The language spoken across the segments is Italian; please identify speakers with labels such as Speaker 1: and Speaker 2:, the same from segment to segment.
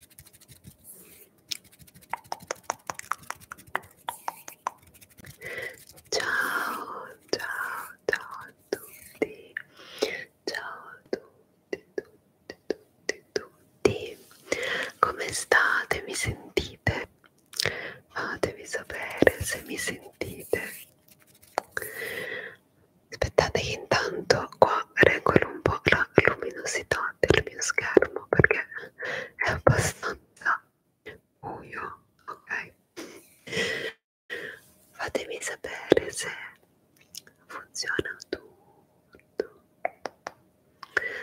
Speaker 1: Ciao, ciao, ciao a tutti. Ciao a tutti, tutti, tutti, tutti. Come state? Mi sentite? Fatemi sapere se mi sentite. Aspettate che intanto qua regolo un po' la luminosità del mio schermo perché è abbastanza buio, ok? Fatemi sapere se funziona tutto,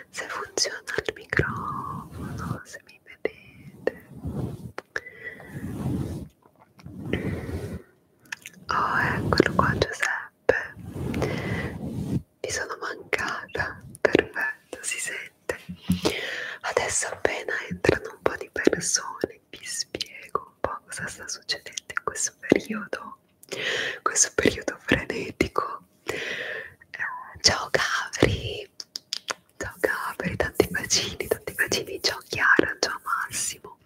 Speaker 1: se funziona il microfono, se mi vedete. Oh, eccolo qua Giuseppe vi sono mancata, perfetto, si sente. Adesso appena entrano un po' di persone vi spiego un po' cosa sta succedendo in questo periodo, questo periodo frenetico. Eh, ciao Gabri, ciao Gabri, tanti bacini, tanti bacini, ciao Chiara, ciao Massimo,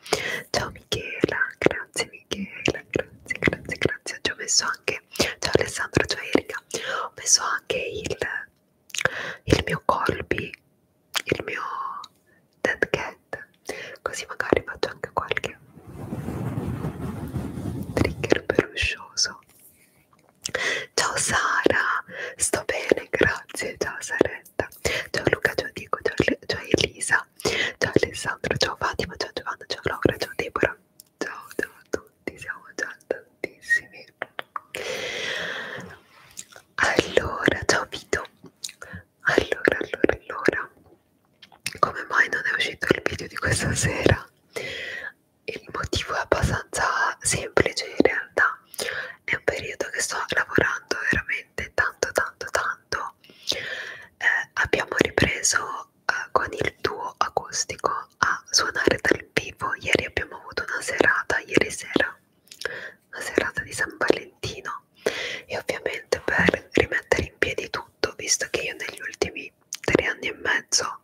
Speaker 1: ciao Michela, grazie mille Michela, grazie, grazie, grazie. Ci ho messo anche, ciao Alessandro, ciao Erika, ho messo anche il, il mio colby, il mio dead cat, così magari faccio anche qualche trigger peluscioso. Ciao Sara, sto bene, grazie, ciao Saretta, ciao Luca, ciao Diego, ciao, ciao Elisa, ciao Alessandro, ciao Fatima, ciao Giovanna, ciao Laura, ciao Deborah, ciao, ciao a tutti, siamo già tantissimi. Allora, ciao Vito, allora, allora, allora, come mai non è uscito il video di questa sera? Il motivo è abbastanza semplice in realtà, è un periodo che sto lavorando veramente tanto tanto tanto po'. Eh, abbiamo ripreso eh, con il duo acustico a suonare dal vivo. Ieri abbiamo avuto una serata, ieri sera, una serata di San Valentino. E ovviamente per rimettere in piedi tutto, visto che io negli ultimi tre anni e mezzo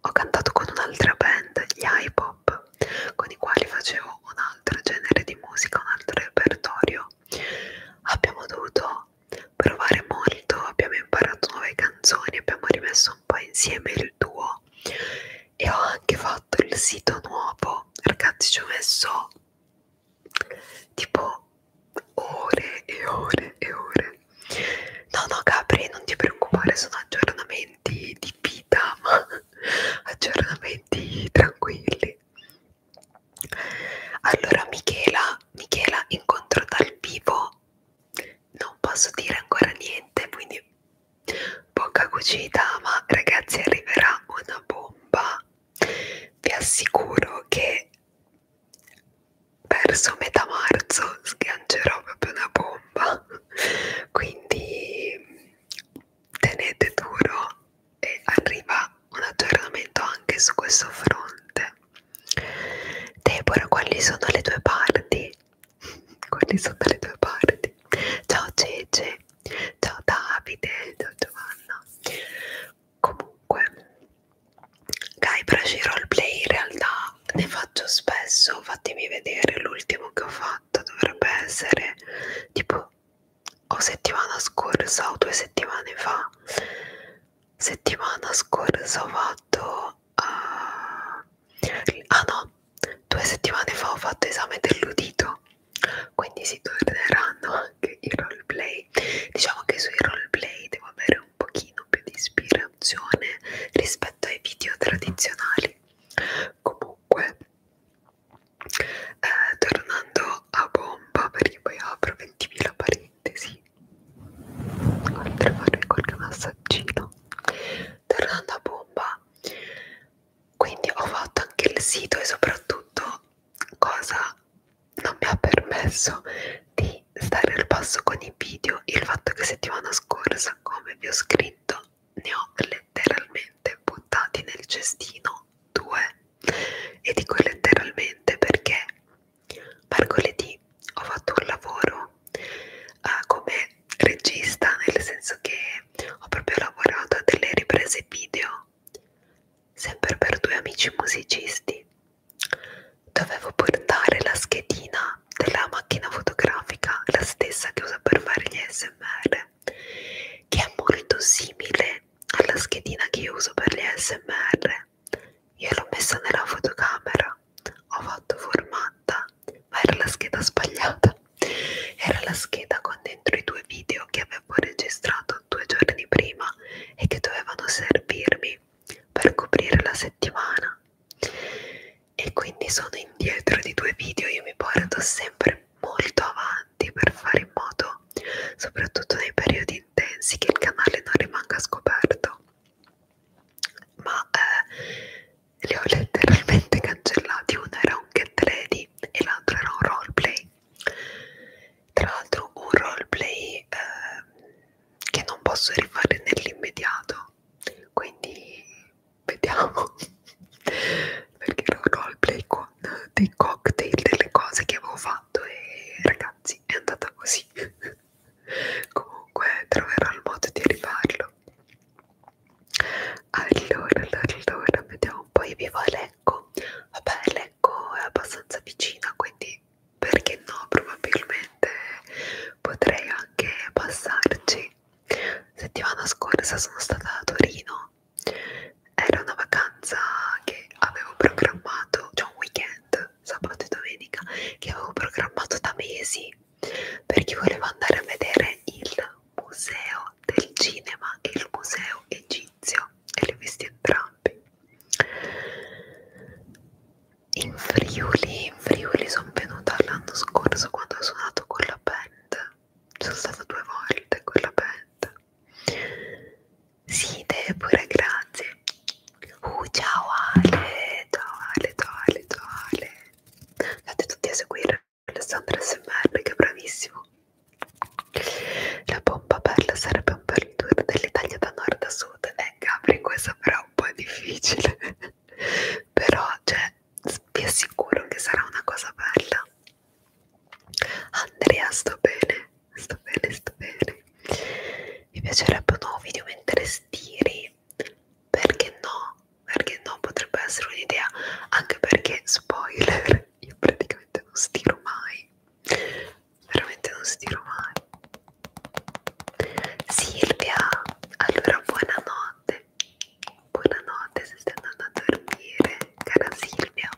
Speaker 1: ho cantato con un'altra band, gli Hip-Hop, con i quali facevo un altro genere di musica, un altro repertorio, abbiamo dovuto provare molto, abbiamo imparato nuove canzoni, abbiamo rimesso un po' insieme il duo e ho anche fatto il sito nuovo, ragazzi ci ho messo tipo ore e ore e ore no no Capri non ti preoccupare sono aggiornamenti di vita ma aggiornamenti tranquilli allora Michela, Michela incontro dal vivo, non posso dire ancora niente, quindi poca cucita, ma ragazzi arriverà una bomba. Vi assicuro che verso metà marzo sgancerò proprio una bomba, quindi tenete duro e arriva un aggiornamento anche su questo fronte. Deborah, quali sono le tue parti? quali sono le tue parti? Ciao Cece, ciao Davide, ciao Giovanna. Comunque, Guybrush roleplay in realtà ne faccio spesso, fatemi vedere l'ultimo che ho fatto dovrebbe essere tipo o settimana scorsa o due settimane fa settimana scorsa ho fatto uh, ah no due settimane fa ho fatto esame dell'udito quindi si torneranno anche i roleplay diciamo che sui roleplay devo avere un pochino più di ispirazione rispetto ai video tradizionali comunque eh, tornando a bomba perché poi apro 20.000 pareri sintesi oltre a fare qualche massaggino tornando a bomba quindi ho fatto anche il sito e soprattutto cosa non mi ha permesso di stare al passo con i video il fatto che settimana scorsa come vi ho scritto ne ho letteralmente buttati nel cestino due e dico letteralmente perché mercoledì ho fatto un lavoro uh, come regista, nel senso che ho proprio lavorato a delle riprese video, sempre per due amici musicisti. Dovevo portare la schedina della macchina fotografica, la stessa che uso per fare gli SMR, che è molto simile alla schedina che io uso per gli SMR fare. Io l'ho messa nella fotocamera, ho fatto formatta, ma era la scheda sbagliata. Era la scheda con dentro i due video che avevo registrato due giorni prima e che dovevano servirmi per coprire la settimana. E quindi sono indietro di due video, io mi porto sempre molto avanti per fare in modo, soprattutto nei periodi intensi che il canale non rimanga scoperto ma eh, li ho letteralmente cancellati uno era un get ready e l'altro era un roleplay tra l'altro un roleplay eh, che non posso rifare nell'immediato quindi vediamo perché era un roleplay con dei cocktail delle cose che avevo fatto e ragazzi è andata così comunque troverò il modo di rifarlo allora allora vediamo un po' io vivo a Lecco vabbè Lecco è abbastanza vicina quindi perché no probabilmente potrei anche passarci settimana scorsa sono stata a Torino era una vacanza che avevo programmato, cioè un weekend sabato e domenica che avevo programmato da mesi perché volevo andare a vedere il museo del cinema e il museo egizio e li ho visti entrambi in Friuli, in Friuli sono venuta l'anno scorso quando ho suonato con la band sono stata due volte con la band sì, te pure, grazie. Uh, ciao Ale, ciao Ale, ciao Ale, ciao Ale. Andate tutti a seguire Alessandro SMR che è bravissimo. La bomba bella sarebbe un bel tour dell'Italia da nord a sud. Eh, Gabri, questa però è un po' difficile. però, cioè, vi assicuro che sarà una cosa bella. Andrea, sto bene sto bene, sto bene. Mi piacerebbe un nuovo video mentre stiri, perché no? Perché no? Potrebbe essere un'idea, anche perché, spoiler, io praticamente non stiro mai. Veramente non stiro mai. Silvia, allora buonanotte. Buonanotte se stai andando a dormire, cara Silvia.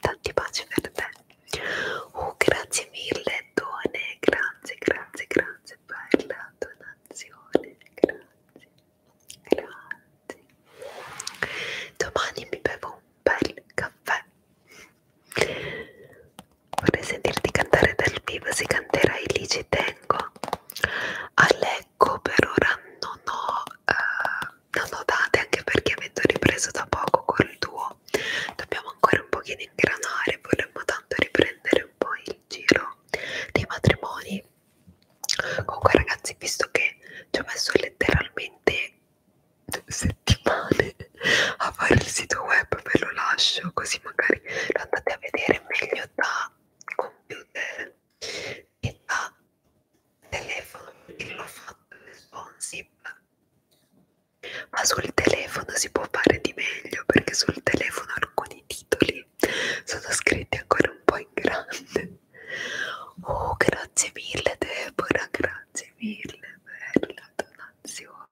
Speaker 1: Tanti baci per te. Oh, grazie mille, Done, grazie, grazie, grazie per la donazione, grazie, grazie. Domani mi bevo un bel caffè. Vorrei sentirti cantare dal vivo, se canterai lì ci tengo. A Lecco per ora non ho, uh, non ho date, anche perché avendo ripreso da poco col tuo po', dobbiamo ancora un pochino ingranare, vorremmo tanto riprendere un po' il giro dei matrimoni. Comunque ragazzi, visto che ci ho messo letteralmente settimane a fare il sito web, ve lo lascio così magari lo andate a vedere meglio da computer e da telefono, perché l'ho fatto responsabile ma sul telefono si può fare di meglio perché sul telefono alcuni titoli sono scritti ancora un po' in grande oh grazie mille Deborah grazie mille per la donazione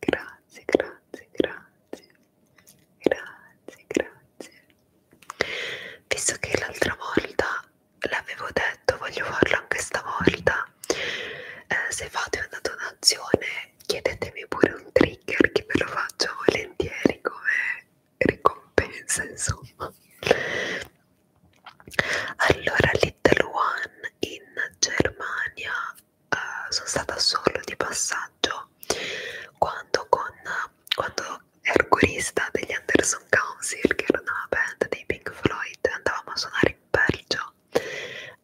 Speaker 1: grazie grazie grazie grazie grazie visto che l'altra volta l'avevo detto voglio farlo anche stavolta eh, se fate una donazione chiedetemi pure un trigger che ve lo faccio volentieri come ricompensa insomma allora Little One in Germania eh, sono stata solo di passaggio quando con quando ero corista degli Anderson Council che era una band dei Pink Floyd andavamo a suonare in Belgio città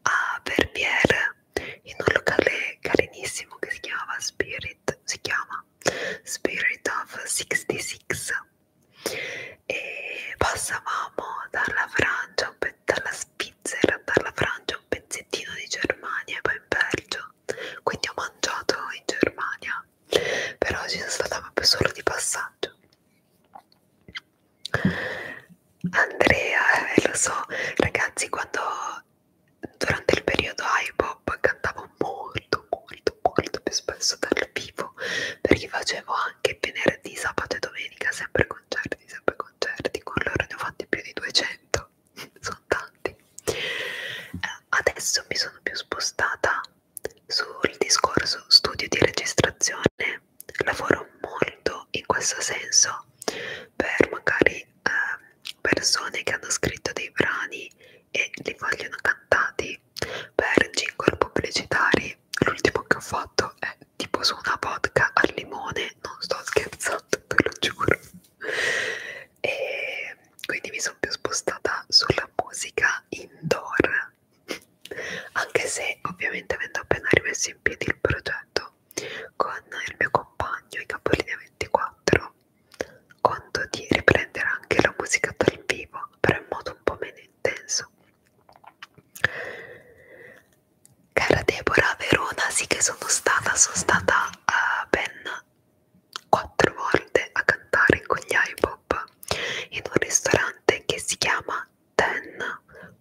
Speaker 1: a Verbier in un locale carinissimo che si chiamava Spirit si chiama Spirit of 66 e passavamo dalla Francia un pe dalla Svizzera dalla Francia un pezzettino di Germania e poi in Belgio quindi ho mangiato in Germania però ci sono stata proprio solo di passaggio Andrea, eh, lo so, ragazzi, quando durante il periodo iPop cantavo molto, molto, molto più spesso dal vivo perché facevo anche venerdì, sabato e domenica sempre concerti, sempre concerti. Con loro ne ho fatti più di 200, sono tanti. Eh, adesso mi sono più spostata sul discorso studio di registrazione lavoro molto in questo senso per magari eh, persone che hanno scritto dei brani e li vogliono cantati per jingle pubblicitari l'ultimo che ho fatto è tipo su una vodka al limone non sto scherzando te lo giuro e quindi mi sono più spostata sulla musica indoor idea anche se ovviamente avendo appena rimesso in piedi il progetto con il mio compagno in capolinea 24 conto di riprendere anche la musica dal vivo però in modo un po' meno intenso cara Deborah a Verona sì che sono stata sono stata uh, ben quattro volte a cantare con gli iPop in un ristorante che si chiama Ten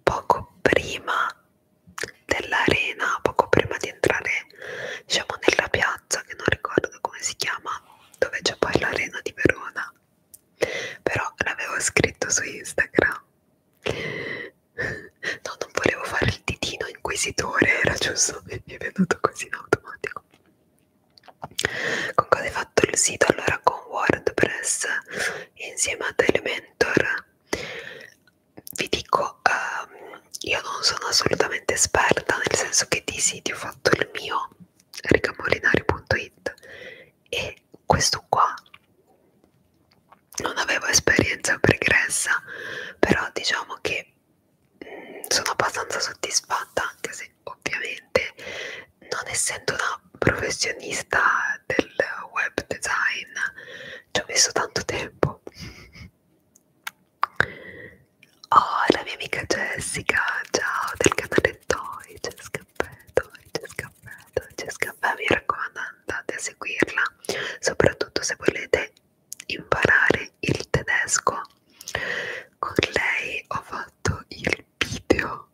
Speaker 1: poco prima dell'arena, poco prima di entrare diciamo nella piazza che non ricordo come si chiama, dove c'è poi l'arena di Verona. Però l'avevo scritto su Instagram. No, non volevo fare il titino inquisitore, era giusto, mi è venuto così in automatico. Con cosa hai fatto il sito? Allora con WordPress insieme a Telementor vi dico um, io non sono assolutamente esperta nel senso che di siti ho fatto il mio ricamolinari.it e questo qua non avevo esperienza pregressa però diciamo che mh, mm, sono abbastanza soddisfatta anche se ovviamente non essendo una professionista del web design ci ho messo tanto tempo oh la mia amica Jessica ciao del canale Toy Jess Caffè Toy Jess Caffè Toy Jess Caffè mi raccomando andate a seguirla soprattutto se volete imparare il tedesco con lei ho fatto il video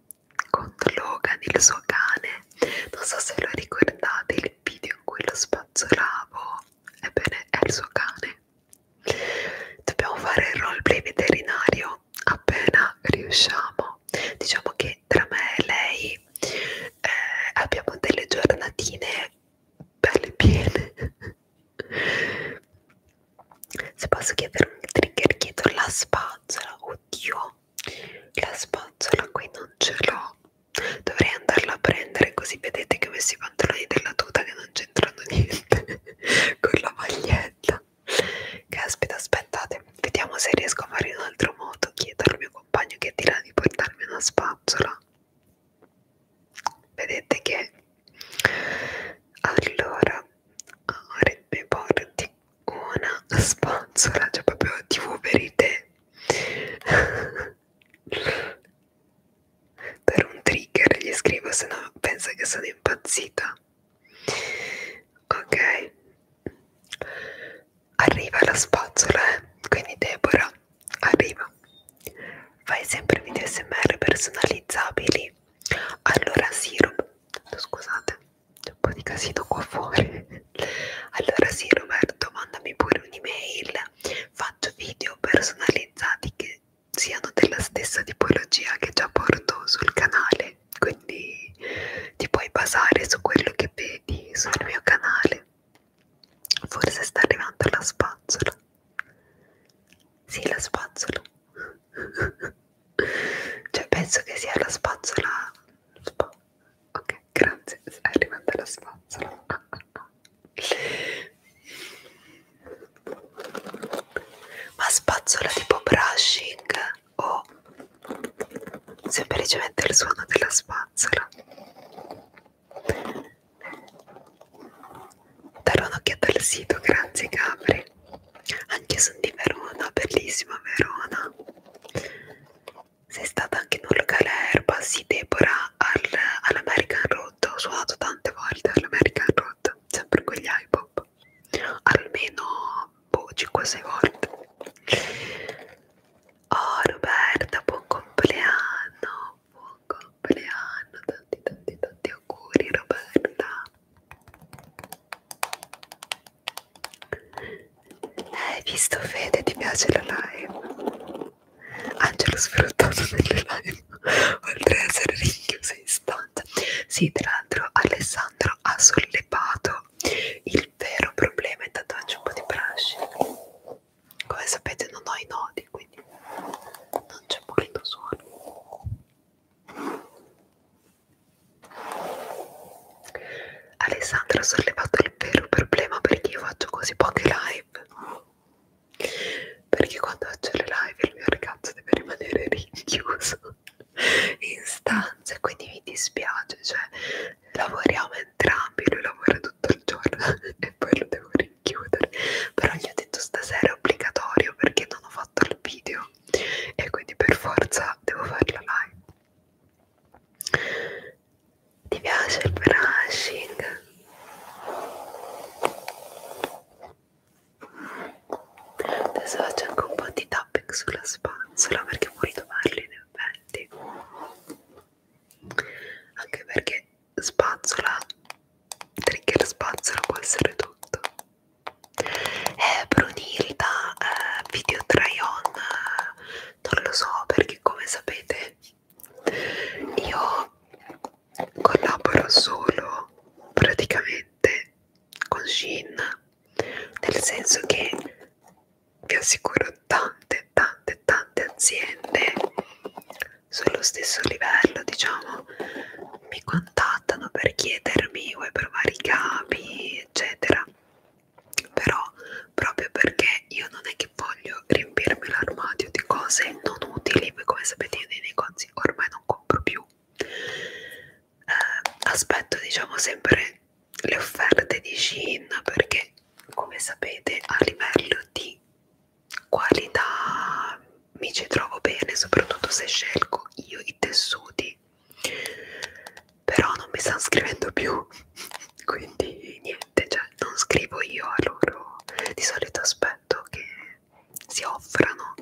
Speaker 1: con Logan, il suo cane. Non so se lo ricordate il video in cui lo spazzolavo. Ebbene, è il suo cane. Dobbiamo fare il roleplay veterinario appena riusciamo. Diciamo che tra me e lei eh, abbiamo delle giornatine belle piene. Se posso chiedere un trigger, chiedo la spazzola. Oddio, la spazzola qui non ce l'ho. Dovrei andarla a prendere così vedete che ho messo i pantaloni della tuta che non c'entrano niente con la maglietta. Caspita, aspettate, vediamo se riesco a fare in un altro modo. Chiedo al mio compagno che è di là di portarmi una spazzola. Vedete che allora ora mi porti una sponsora, cioè proprio tv verite per un trigger gli scrivo se no pensa che sono impazzita ok arriva la spazzola eh? quindi Deborah arriva fai sempre video smr personalizzabili allora sirup scusate c'è un po' di casino qua fuori. Allora sì Roberto, mandami pure un'email. Faccio video personalizzati che siano della stessa tipologia che già porto sul canale. Quindi ti puoi basare su quello che vedi sul mio canale. Forse sta arrivando la spazzola. Sì, la spazzola. cioè penso che sia la spazzola Sp ok grazie è arrivata la spazzola ma spazzola tipo brushing o semplicemente il suono della spazzola darò un'occhiata al sito grazie Gabri anche io sono di Verona, bellissima Verona. Sei stata anche in un locale a Erba, sì Deborah, al, all'American Road, ho suonato tante volte all'American Road, sempre con gli iPop, almeno boh, 5-6 volte. Oh Roberta, buon compleanno, buon compleanno, tanti tanti tanti auguri Roberta. Hai visto Fede? Ti piace la live? Angelo sfruttato nelle live, oltre ad essere rinchiuso in stanza. Sì, tra l'altro Alessandro ha sollevato il vero problema è tatuaggio un po' di brushing. Come sapete non ho i nodi, quindi non c'è molto suono. Alessandra ha sollevato il vero problema perché io faccio così poche live perché quando faccio le live il mio ragazzo deve rimanere rinchiuso in stanza e quindi mi dispiace cioè lavoriamo entrambi lui lavora tutto il giorno e poi lo devo rinchiudere però gli ho detto stasera è obbligatorio perché non ho fatto il video e quindi per forza devo fare la live ti piace il brushing? Adesso faccio anche un po' di tapping sulla spazzola perché puoi tomarli in effetti. Anche perché spazzola, trigger spazzola può essere tutto eh, Brunilda eh, video try on eh, non lo so perché come sapete io collaboro solo praticamente con Shin nel senso che vi assicuro tante tante tante aziende sullo stesso livello diciamo mi contattano per chiedermi vuoi provare i capi eccetera però proprio perché io non è che voglio riempirmi l'armadio di cose non utili ma come sapete io nei negozi ormai non compro più eh, aspetto diciamo sempre le offerte di Shein perché come sapete a livello di qualità mi ci trovo bene soprattutto se scelgo io i tessuti però non mi stanno scrivendo più quindi niente cioè non scrivo io a loro di solito aspetto che si offrano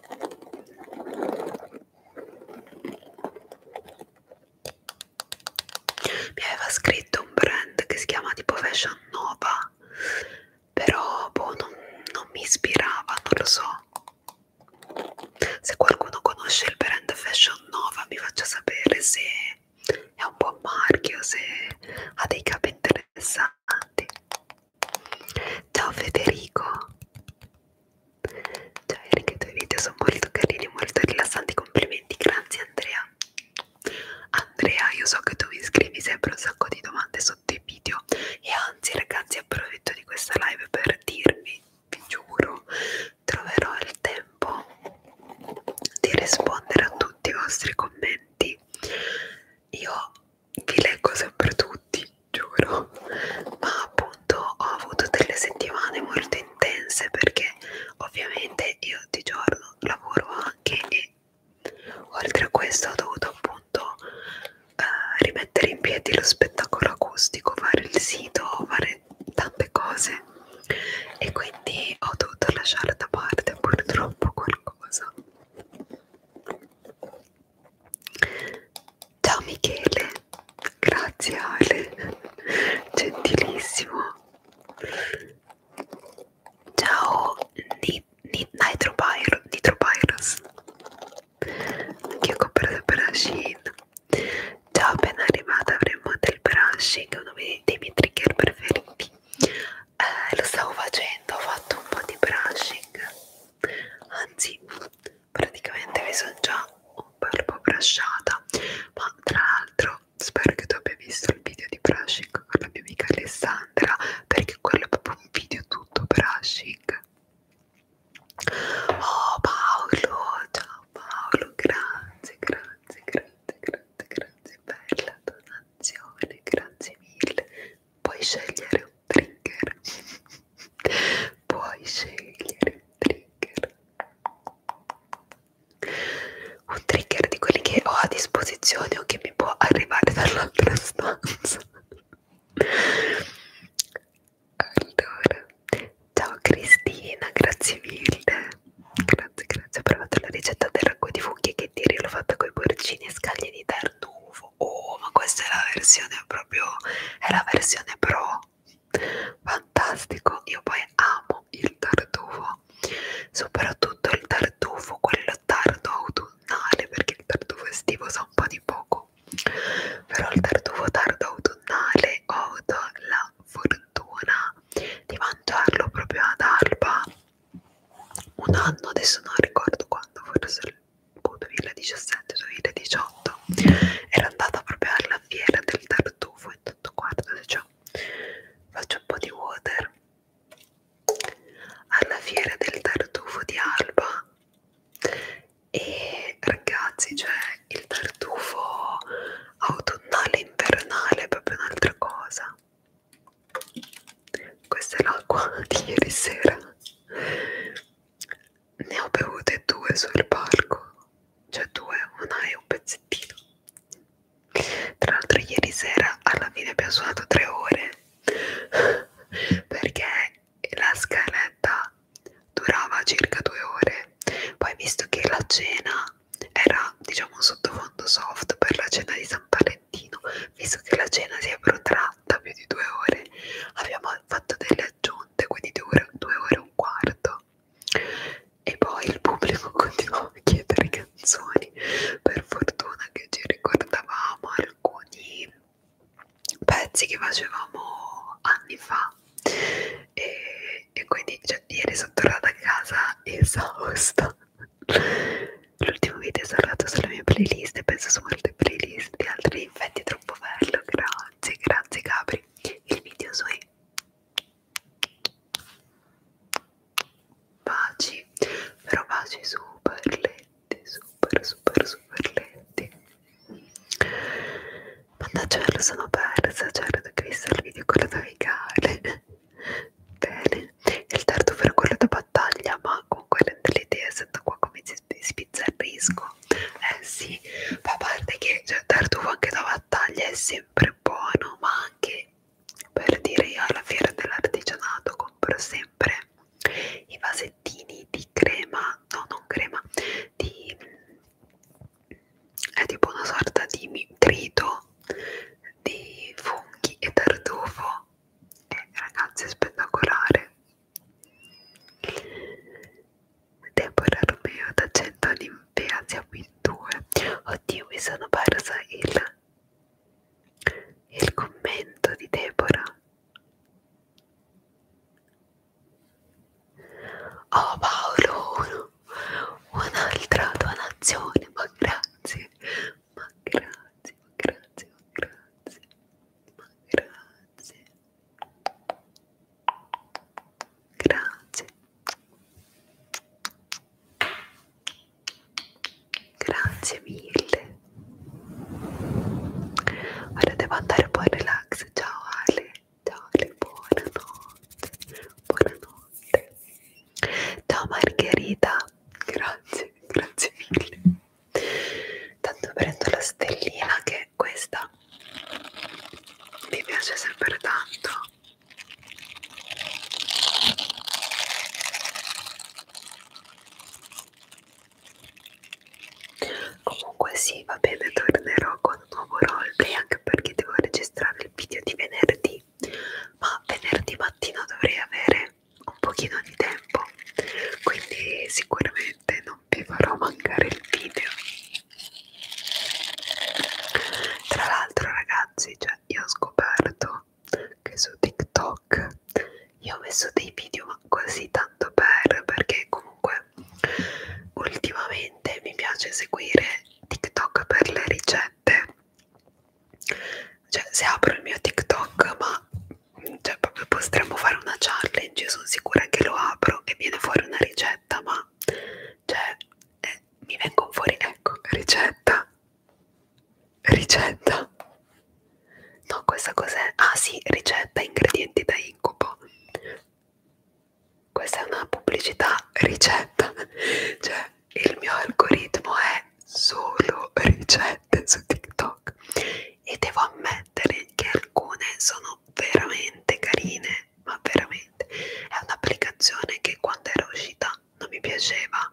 Speaker 1: mi aveva scritto un brand che si chiama tipo Fashion Nova però boh non, non mi ispirava non lo so se qualcuno conosce il brand Fashion Nova mi faccia sapere se è un buon marchio, se ha dei capi interessanti. Ciao Federico! Ciao Erika, i tuoi video sono molto carini, molto rilassanti, complimenti, grazie Andrea. Andrea, io so che tu mi scrivi sempre un sacco di domande sotto i video e anzi ragazzi approfitto di questa live per dirvi vi giuro troverò il tempo di rispondere a tutti i vostri commenti io vi leggo sempre tutti giuro ma appunto ho avuto delle settimane molto intense perché ovviamente io di giorno lavoro anche e oltre a questo ho dovuto appunto eh, rimettere in piedi lo spettacolo acustico fare il sito fare fare tante cose e quindi ho dovuto lasciare da parte purtroppo qualcosa. Ciao Michele, grazie Ale, gentilissimo. Ciao Nitropyrus, anche io comprata per la Shein, Già appena arrivata avremo del brushing, uno dei miei trigger preferiti. Eh, lo stavo facendo, ho fatto un po' di brushing, anzi praticamente mi sono già un bel po' brusciata, ma tra l'altro spero che tu abbia visto il video di brushing con la mia amica Alessandra, perché quello è proprio un video tutto brushing Oh Paolo, ciao Paolo, grazie, grazie, grazie, grazie, grazie per la donazione, grazie mille. Puoi scegliere un trigger, puoi scegliere un trigger, un trigger di quelli che ho a disposizione o che mi può arrivare dall'altra stanza. Allora, ciao Cristina, grazie mille. Grazie, grazie. Ho provato la ricetta del ragù di funghi che tiri, l'ho fatta con i porcini e scaglie di tartufo. Oh, ma questa è la versione proprio, è la versione pro. Fantastico, io poi amo il tartufo, soprattutto il tartufo, quello tardo autunnale, perché il tartufo estivo sa un po' di poco. Però il tartufo tardo autunnale ho avuto la fortuna di mangiarlo proprio ad Alba un anno, adesso non ricordo quando, forse il 2017-2018 era andata proprio alla fiera del tartufo e tutto quanto, cioè faccio un po' di water alla fiera del tartufo di Alba e ragazzi cioè il tartufo autunnale invernale è proprio un'altra cosa questa è l'acqua di ieri sera ne ho bevute due sul palco cioè due una e un pezzettino tra l'altro ieri sera alla fine abbiamo suonato tre ore perché la scaletta durava circa due ore, poi visto che la cena era diciamo un sottofondo soft per la cena di San Valentino, visto che la cena si è protratta più di due ore, abbiamo fatto delle aggiunte, quindi due, due ore e un quarto. E poi il pubblico continuava a chiedere canzoni, per fortuna che ci ricordavamo alcuni pezzi che facevamo anni fa e e quindi cioè, ieri sono tornata a casa esausta l'ultimo video è tornato sulle mie playlist e penso su molte playlist di altri infetti troppo bello grazie grazie Gabri il video sui baci però baci super letti super super super letti Mandacello sono persa, certo che visto il video quello navigare. Bene, il terzo per quello da battaglia, ma con quelle dell'idea, sento qua come si spizzerrisco. Eh sì, ma a parte che cioè, il tartufo anche da battaglia è sempre buono, ma anche per dire io alla fiera dell'artigianato compro sempre i vasettini di crema, no non crema, di è tipo una sorta di trito di funghi e tartufo e ragazzi è spettacolare Deborah Romeo da Cento Olimpia siamo in due oddio mi sono persa il il commento di Deborah Oh Paolo, un'altra donazione, ma grazie, ma grazie, ma grazie, ma grazie, ma grazie, grazie, grazie mille. Ora devo andare poi relax, ciao Ale. Dale, buonanotte, buonanotte. Ciao Margherita, grazie, grazie mille. Tanto prendo la stellina che questa mi piace sempre tanto. Comunque sì, va bene, tornerò con un nuovo roleplay anche perché devo registrare il video di venerdì ma venerdì mattina dovrei avere un pochino di tempo quindi sicuramente non vi farò mancare il video tra l'altro ragazzi cioè io ho scoperto che su TikTok io ho messo dei video ma così tanto per perché comunque ultimamente ultimamente mi piace seguire TikTok per le ricette. Cioè, se apro il mio TikTok, ma cioè, proprio potremmo fare una challenge, io sono sicura che lo apro e viene fuori una ricetta, ma cioè, eh, mi vengono fuori, ecco, ricetta, ricetta. No, questa cos'è? Ah sì, ricetta, ingredienti da incubo questa è una pubblicità ricetta, cioè il mio algoritmo è solo ricette su TikTok e devo ammettere che alcune sono veramente carine, ma veramente è un'applicazione che quando era uscita non mi piaceva,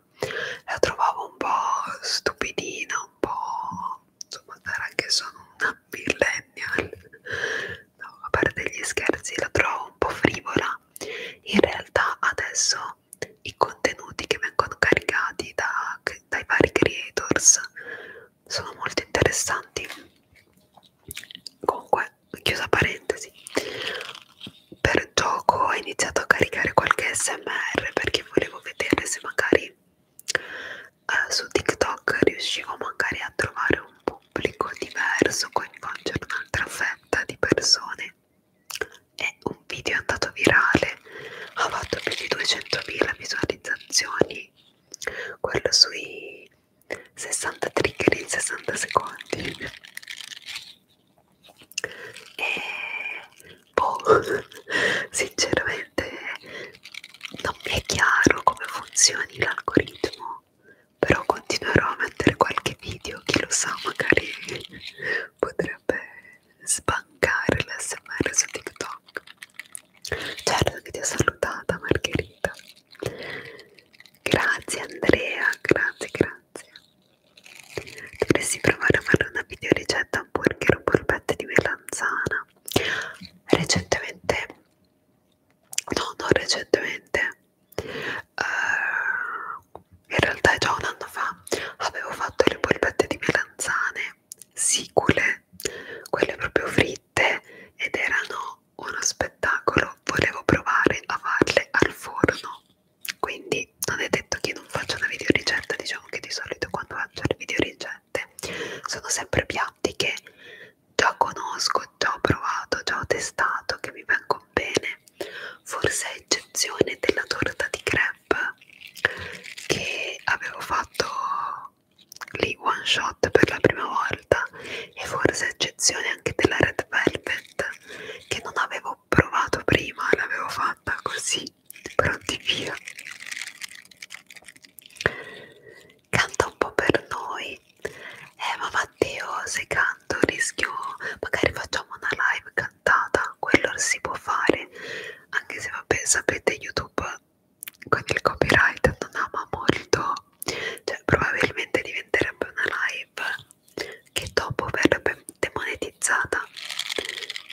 Speaker 1: la trovavo un po' stupidina, un po' insomma, sarà che sono una millennial no, a parte gli scherzi la trovo un po' frivola in realtà adesso i contenuti che vengono caricati da, dai vari creators sono molto interessanti comunque chiusa parentesi per gioco ho iniziato a caricare qualche smr perché volevo vedere se magari eh, su tiktok riuscivo magari a trovare un po pubblico diverso coinvolge un'altra fetta di persone e un video è andato virale, ha fatto più di 200.000 visualizzazioni, quello sui 60 trigger in 60 secondi e boh, sinceramente non mi è chiaro come funzioni l'algoritmo però continuerò a mettere qualche video, chi lo sa, magari potrebbe sbancare l'SMR su TikTok. Certo che ti ho salutata Margherita. Grazie Andrea, grazie, grazie. Dovresti provare a fare una video ricetta hamburger o polpette di melanzana. Recentemente no non recentemente uh, in realtà è già un anno fa avevo fatto le polpette di melanzane sicule quelle proprio fritte ed erano uno spettacolo volevo provare a farle al forno quindi non è detto che io non faccio una videoricetta diciamo che di solito quando faccio le videoricette sono sempre piatti che già conosco, già ho provato, già ho testato che mi vengono bene, forse a eccezione della torta di crepe che avevo fatto lì one shot per la prima volta e forse a eccezione anche della red velvet che non avevo provato prima, l'avevo fatta così pronti via canta un po' per noi eh ma Matteo oh, se canto rischio magari facciamo una live cantata quello si può fare anche se vabbè sapete YouTube con il copyright non ama molto cioè probabilmente diventerebbe una live che dopo verrebbe demonetizzata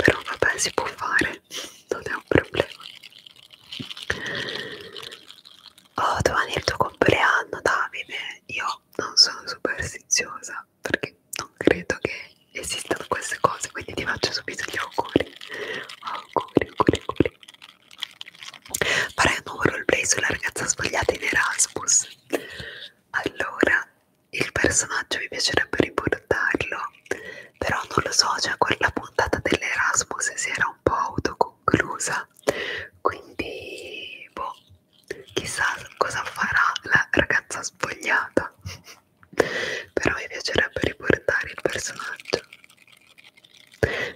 Speaker 1: però vabbè si può fare non è un problema Oh, domani è il tuo compleanno, Davide. Io non sono superstiziosa perché non credo che esistano queste cose, quindi ti faccio subito gli auguri. Auguri, auguri, auguri. Farei un nuovo roleplay sulla ragazza sbagliata in Erasmus. Allora, il personaggio mi piacerebbe riportarlo, però non lo so, cioè quella puntata dell'Erasmus si era un po' autoconclusa quindi boh, chissà cosa farà la ragazza spogliata però mi piacerebbe riportare il personaggio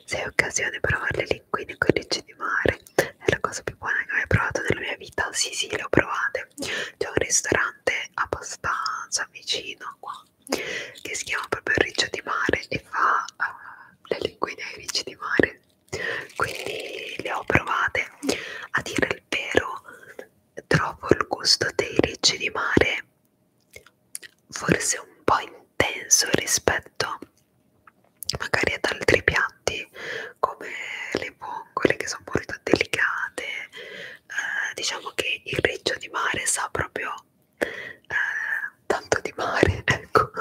Speaker 1: se hai occasione di provare le linguine con ricci di mare è la cosa più buona che ho mai provato nella mia vita sì sì le ho provate c'è un ristorante abbastanza vicino a qua che si chiama proprio Riccio di Mare e fa uh, le linguine ai ricci di mare quindi le ho provate a dire il vero trovo il gusto dei ricci di mare forse un po' intenso rispetto magari ad altri piatti come le vongole che sono molto delicate eh, diciamo che il riccio di mare sa proprio eh, tanto di mare, ecco,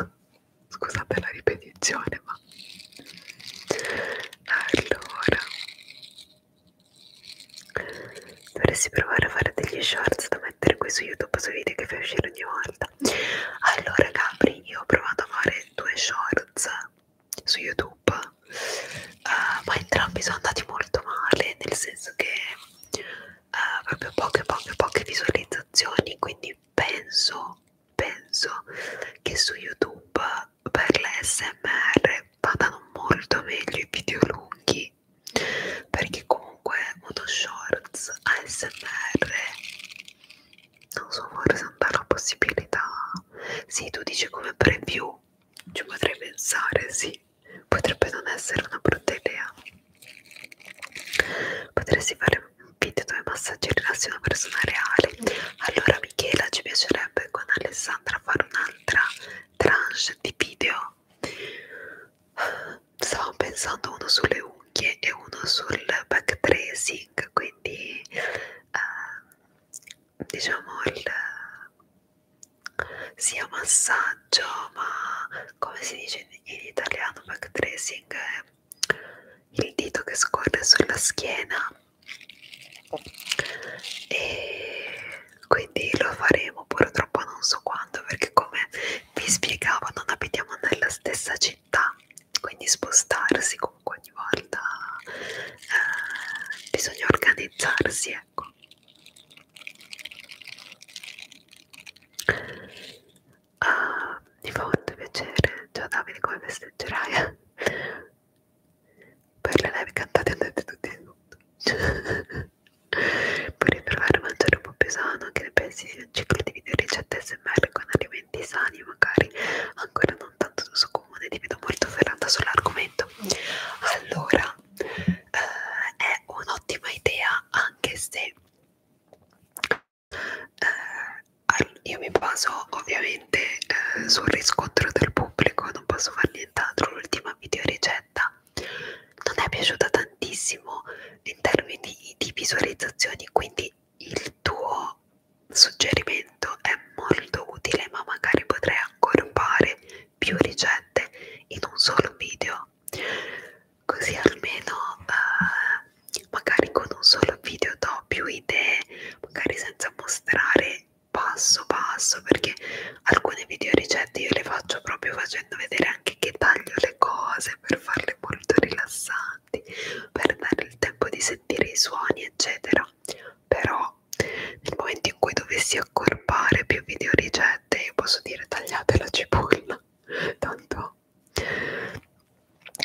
Speaker 1: scusate la ripetizione, ma allora dovresti provare a fare degli shorts da mettere qui su YouTube sui video che fai uscire ogni volta. Allora, Capri, io ho provato a fare due shorts su YouTube, uh, ma entrambi sono andati molto male, nel senso che eh, proprio poche poche poche visualizzazioni quindi penso penso che su youtube per l'SMR vadano molto meglio i video lunghi perché comunque uno shorts ASMR non so forse non dà la possibilità sì tu dici come preview ci potrei pensare sì potrebbe non essere una brutta idea Potresti fare un video dove massaggiare rilassi una persona reale. Allora Michela, ci piacerebbe con Alessandra fare un'altra tranche di video. Stavo pensando uno sulle unghie e uno sul back tracing, quindi eh, diciamo il sia massaggio ma come si dice in in italiano backtracing è eh, il dito che scorre sulla schiena e quindi lo faremo purtroppo non so quando perché come vi spiegavo non abitiamo nella stessa città quindi spostarsi comunque ogni volta eh, bisogna organizzarsi ecco Ah, mi fa molto piacere. Ciao Davide, come festeggerai? per le live cantate andate tutti in tutto. Puoi provare a mangiare un po' più sano, che ne pensi di un ciclo di video ricette SMR con alimenti sani, magari ancora non tanto d'uso comune, ti vedo molto ferrata sull'argomento. Allora, eh, è un'ottima idea anche se eh, io mi baso ovviamente eh, sul riscontro del pubblico, non posso fare nient'altro. L'ultima video ricetta non è piaciuta tantissimo in termini di visualizzazioni, quindi il tuo suggerimento è molto utile, ma magari potrei accorpare più ricette in un solo video video così almeno eh, magari con un solo video do più idee magari senza mostrare passo passo perché alcune video ricette io le faccio proprio facendo vedere anche che taglio le cose per farle molto rilassanti per dare il tempo di sentire i suoni eccetera però nel momento in cui dovessi accorpare più video ricette io posso dire tagliate la cipolla tanto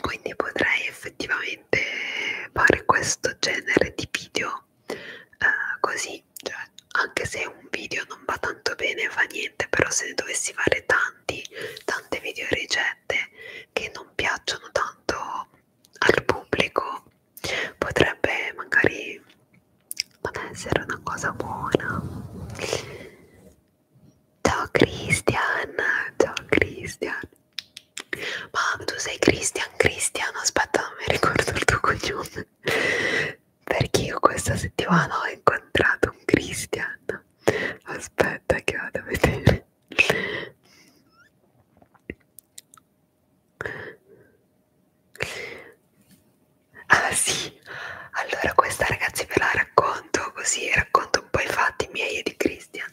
Speaker 1: quindi potrei effettivamente fare questo genere di video uh, così cioè, anche se un video non va tanto bene fa niente però se ne dovessi fare tanti tante video ricette che non piacciono tanto al pubblico potrebbe magari non essere una cosa buona Ciao Christian, ciao Christian. Ma tu sei Christian, Christian, aspetta, non mi ricordo il tuo cognome. Perché io questa settimana ho incontrato un Christian. Aspetta che vado a vedere. Ah sì, allora questa ragazzi ve la racconto così, racconto un po' i fatti miei e di Christian.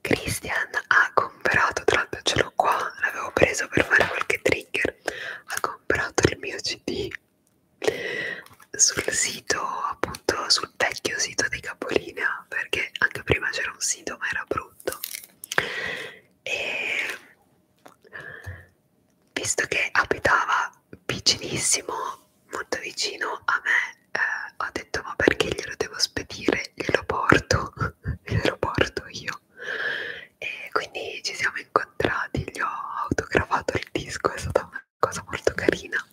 Speaker 1: Christian ha comprato, tra l'altro ce l'ho qua, l'avevo preso per fare qualche trigger, ha comprato il mio CD sul sito, appunto sul vecchio sito di Capolina, perché anche prima c'era un sito ma era brutto. E visto che abitava vicinissimo, molto vicino a me, eh, ho detto ma perché glielo devo spedire? Glielo porto, glielo porto io. E quindi ci siamo incontrati, gli ho autografato il disco, è stata una cosa molto carina.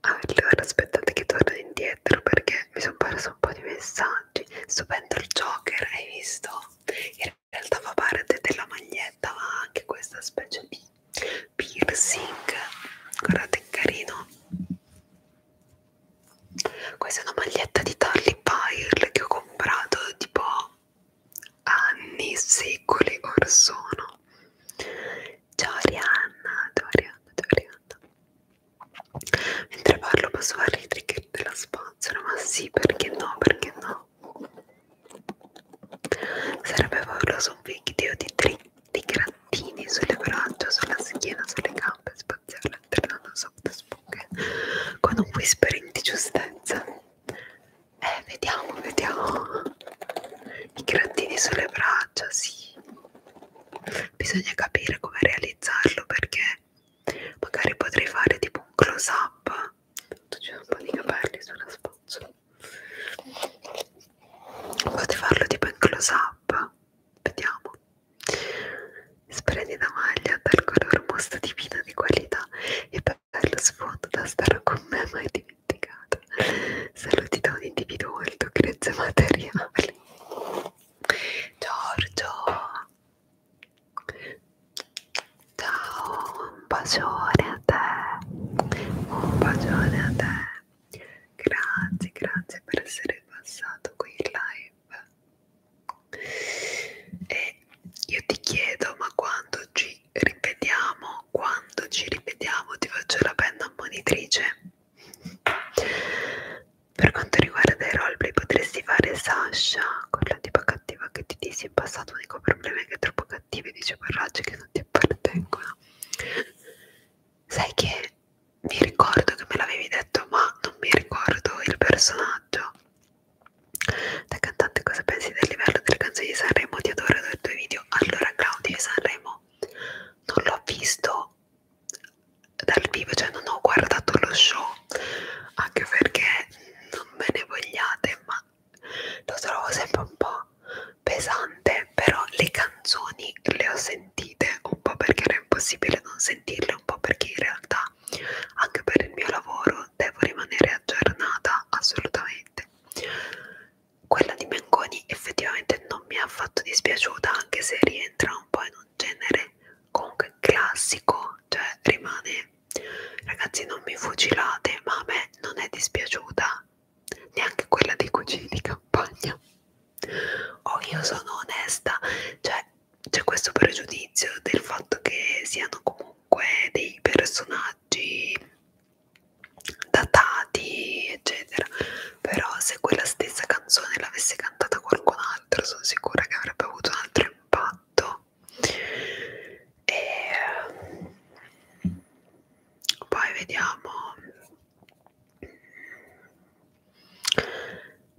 Speaker 1: Allora aspettate che torno indietro perché mi sono perso un po' di messaggi. Stupendo il Joker, hai visto? Era realtà fa parte della maglietta ma anche questa specie di piercing guardate che carino questa è una maglietta di Tarly Pyle che ho comprato tipo anni, secoli or sono ciao Arianna, ciao Arianna, ciao Arianna mentre parlo posso fare i trigger della spazzola ma sì perché no, perché no Sarebbe favoloso un video di, di grattini sulle braccia, sulla schiena, sulle gambe, spaziale alternando sotto spuche con un whispering di giustezza. Eh, vediamo, vediamo. I grattini sulle braccia, sì. Bisogna capire come realizzarlo perché magari potrei fare tipo un close up tanto c'è un po' di capelli sulla spazzola potete farlo tipo in close up vediamo sprendi da maglia dal colore mostra divino di qualità e per lo sfondo da stare con me mai dimenticato saluti da un individuo molto grezzo materiale Giorgio Ciao, un bacione a te, un bacione a te. Grazie, grazie per essere passato qui in live. E io ti chiedo, ma quando ci ripetiamo, quando ci ripetiamo, ti faccio la penna ammonitrice. Per quanto riguarda i roleplay, potresti fare Sasha, quello di Pacca cattiva che ti dici in passato l'unico problema è che è troppo cattivi dice paraggi che non ti appartengono sai che mi ricordo che me l'avevi detto ma non mi ricordo il personaggio da cantante cosa pensi del livello delle canzoni di Sanremo ti adoro dai tuoi video allora Claudio Sanremo non l'ho visto dal vivo cioè non ho guardato lo show anche perché non me ne vogliate ma lo trovo sempre un po' pesante però le canzoni le ho sentite un po' perché era impossibile non sentirle un po' perché in realtà anche per il mio lavoro devo rimanere aggiornata assolutamente quella di Mengoni effettivamente non mi è affatto dispiaciuta anche se rientra un po' in un genere comunque classico cioè rimane Ragazzi, non mi fucilate, ma a me non è dispiaciuta neanche quella dei cugini di campagna. Oh, io sono onesta, cioè c'è questo pregiudizio del fatto che siano comunque dei personaggi datati, eccetera. Però se quella stessa canzone l'avesse cantata qualcun altro, sono sicura che avrebbe avuto un altro impatto e poi vediamo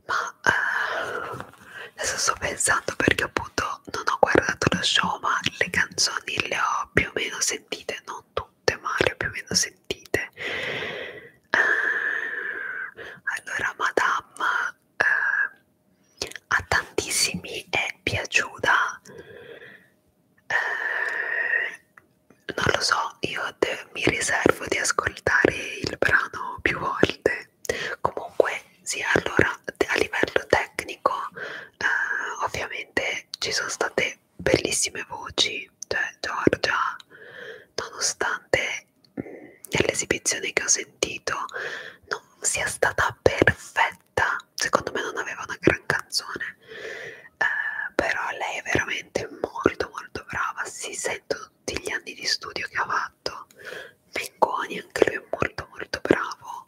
Speaker 1: ma eh, adesso sto pensando perché appunto non ho guardato lo show ma le canzoni le ho più o meno sentite non tutte ma le ho più o meno sentite eh, allora madame eh, a tantissimi è piaciuta eh, non lo so io de, mi riservo di ascoltare il brano più volte comunque sì allora a livello tecnico eh, ovviamente ci sono state bellissime voci cioè Giorgia nonostante mm, nell'esibizione che ho sentito non sia stata perfetta diretta secondo me non aveva una gran canzone eh, però lei è veramente molto molto brava si sentono tutti gli anni di studio che ha fatto Mengoni anche lui è molto molto bravo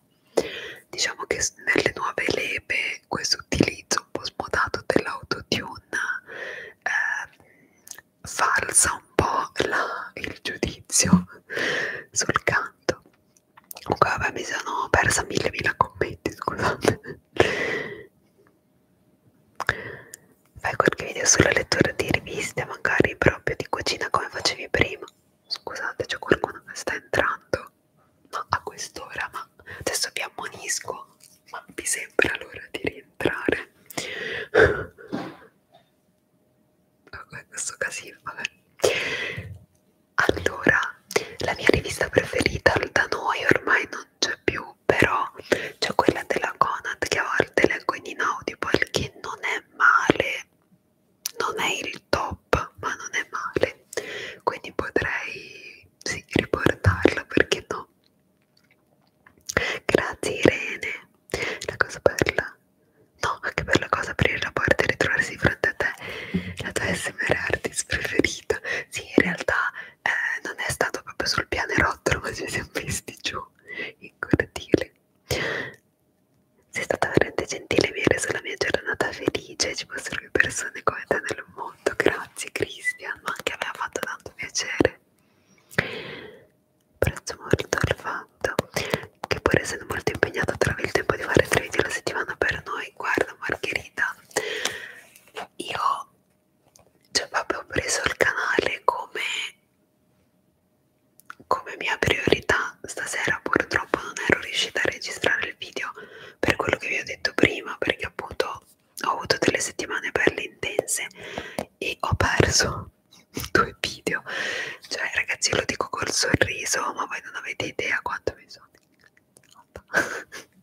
Speaker 1: diciamo che nelle nuove leve questo utilizzo un po' smodato dell'autotune eh, falsa un po' la, il giudizio sul canto comunque vabbè mi sono persa mille mila commenti scusate fai qualche video sulla lettura di riviste magari proprio di cucina come facevi prima scusate c'è qualcuno che sta entrando no a quest'ora ma adesso vi ammonisco ma mi sembra l'ora di rientrare questo casino vabbè allora, la mia rivista preferita da noi ormai non c'è più, però c'è quella della Conad che a volte leggo in Inaudible, che non è male, non è il top, ma non è male, quindi potrei sì, riportarla, perché no? Grazie Irene, la cosa bella No, anche per la cosa aprire la porta e ritrovarsi di fronte a te, la tua SMR artist preferita. Sì, in realtà eh, non è stato proprio sul pianerottolo, ma ci siamo visti giù in cortile. Sei stata veramente gentile viene sulla mia giornata felice, ci fossero più persone come te nel mondo. Grazie Cristian, ma anche a me ha fatto tanto piacere. Prezzo molto al fatto fatto che pur essendo molto impegnato trovi il tempo di fare tre video alla settimana per noi guarda Margherita io cioè proprio ho preso il canale come come mia priorità stasera purtroppo non ero riuscita a registrare il video per quello che vi ho detto prima perché appunto ho avuto delle settimane per le intense e ho perso due video cioè ragazzi lo dico col sorriso ma voi non avete idea quanto mi sono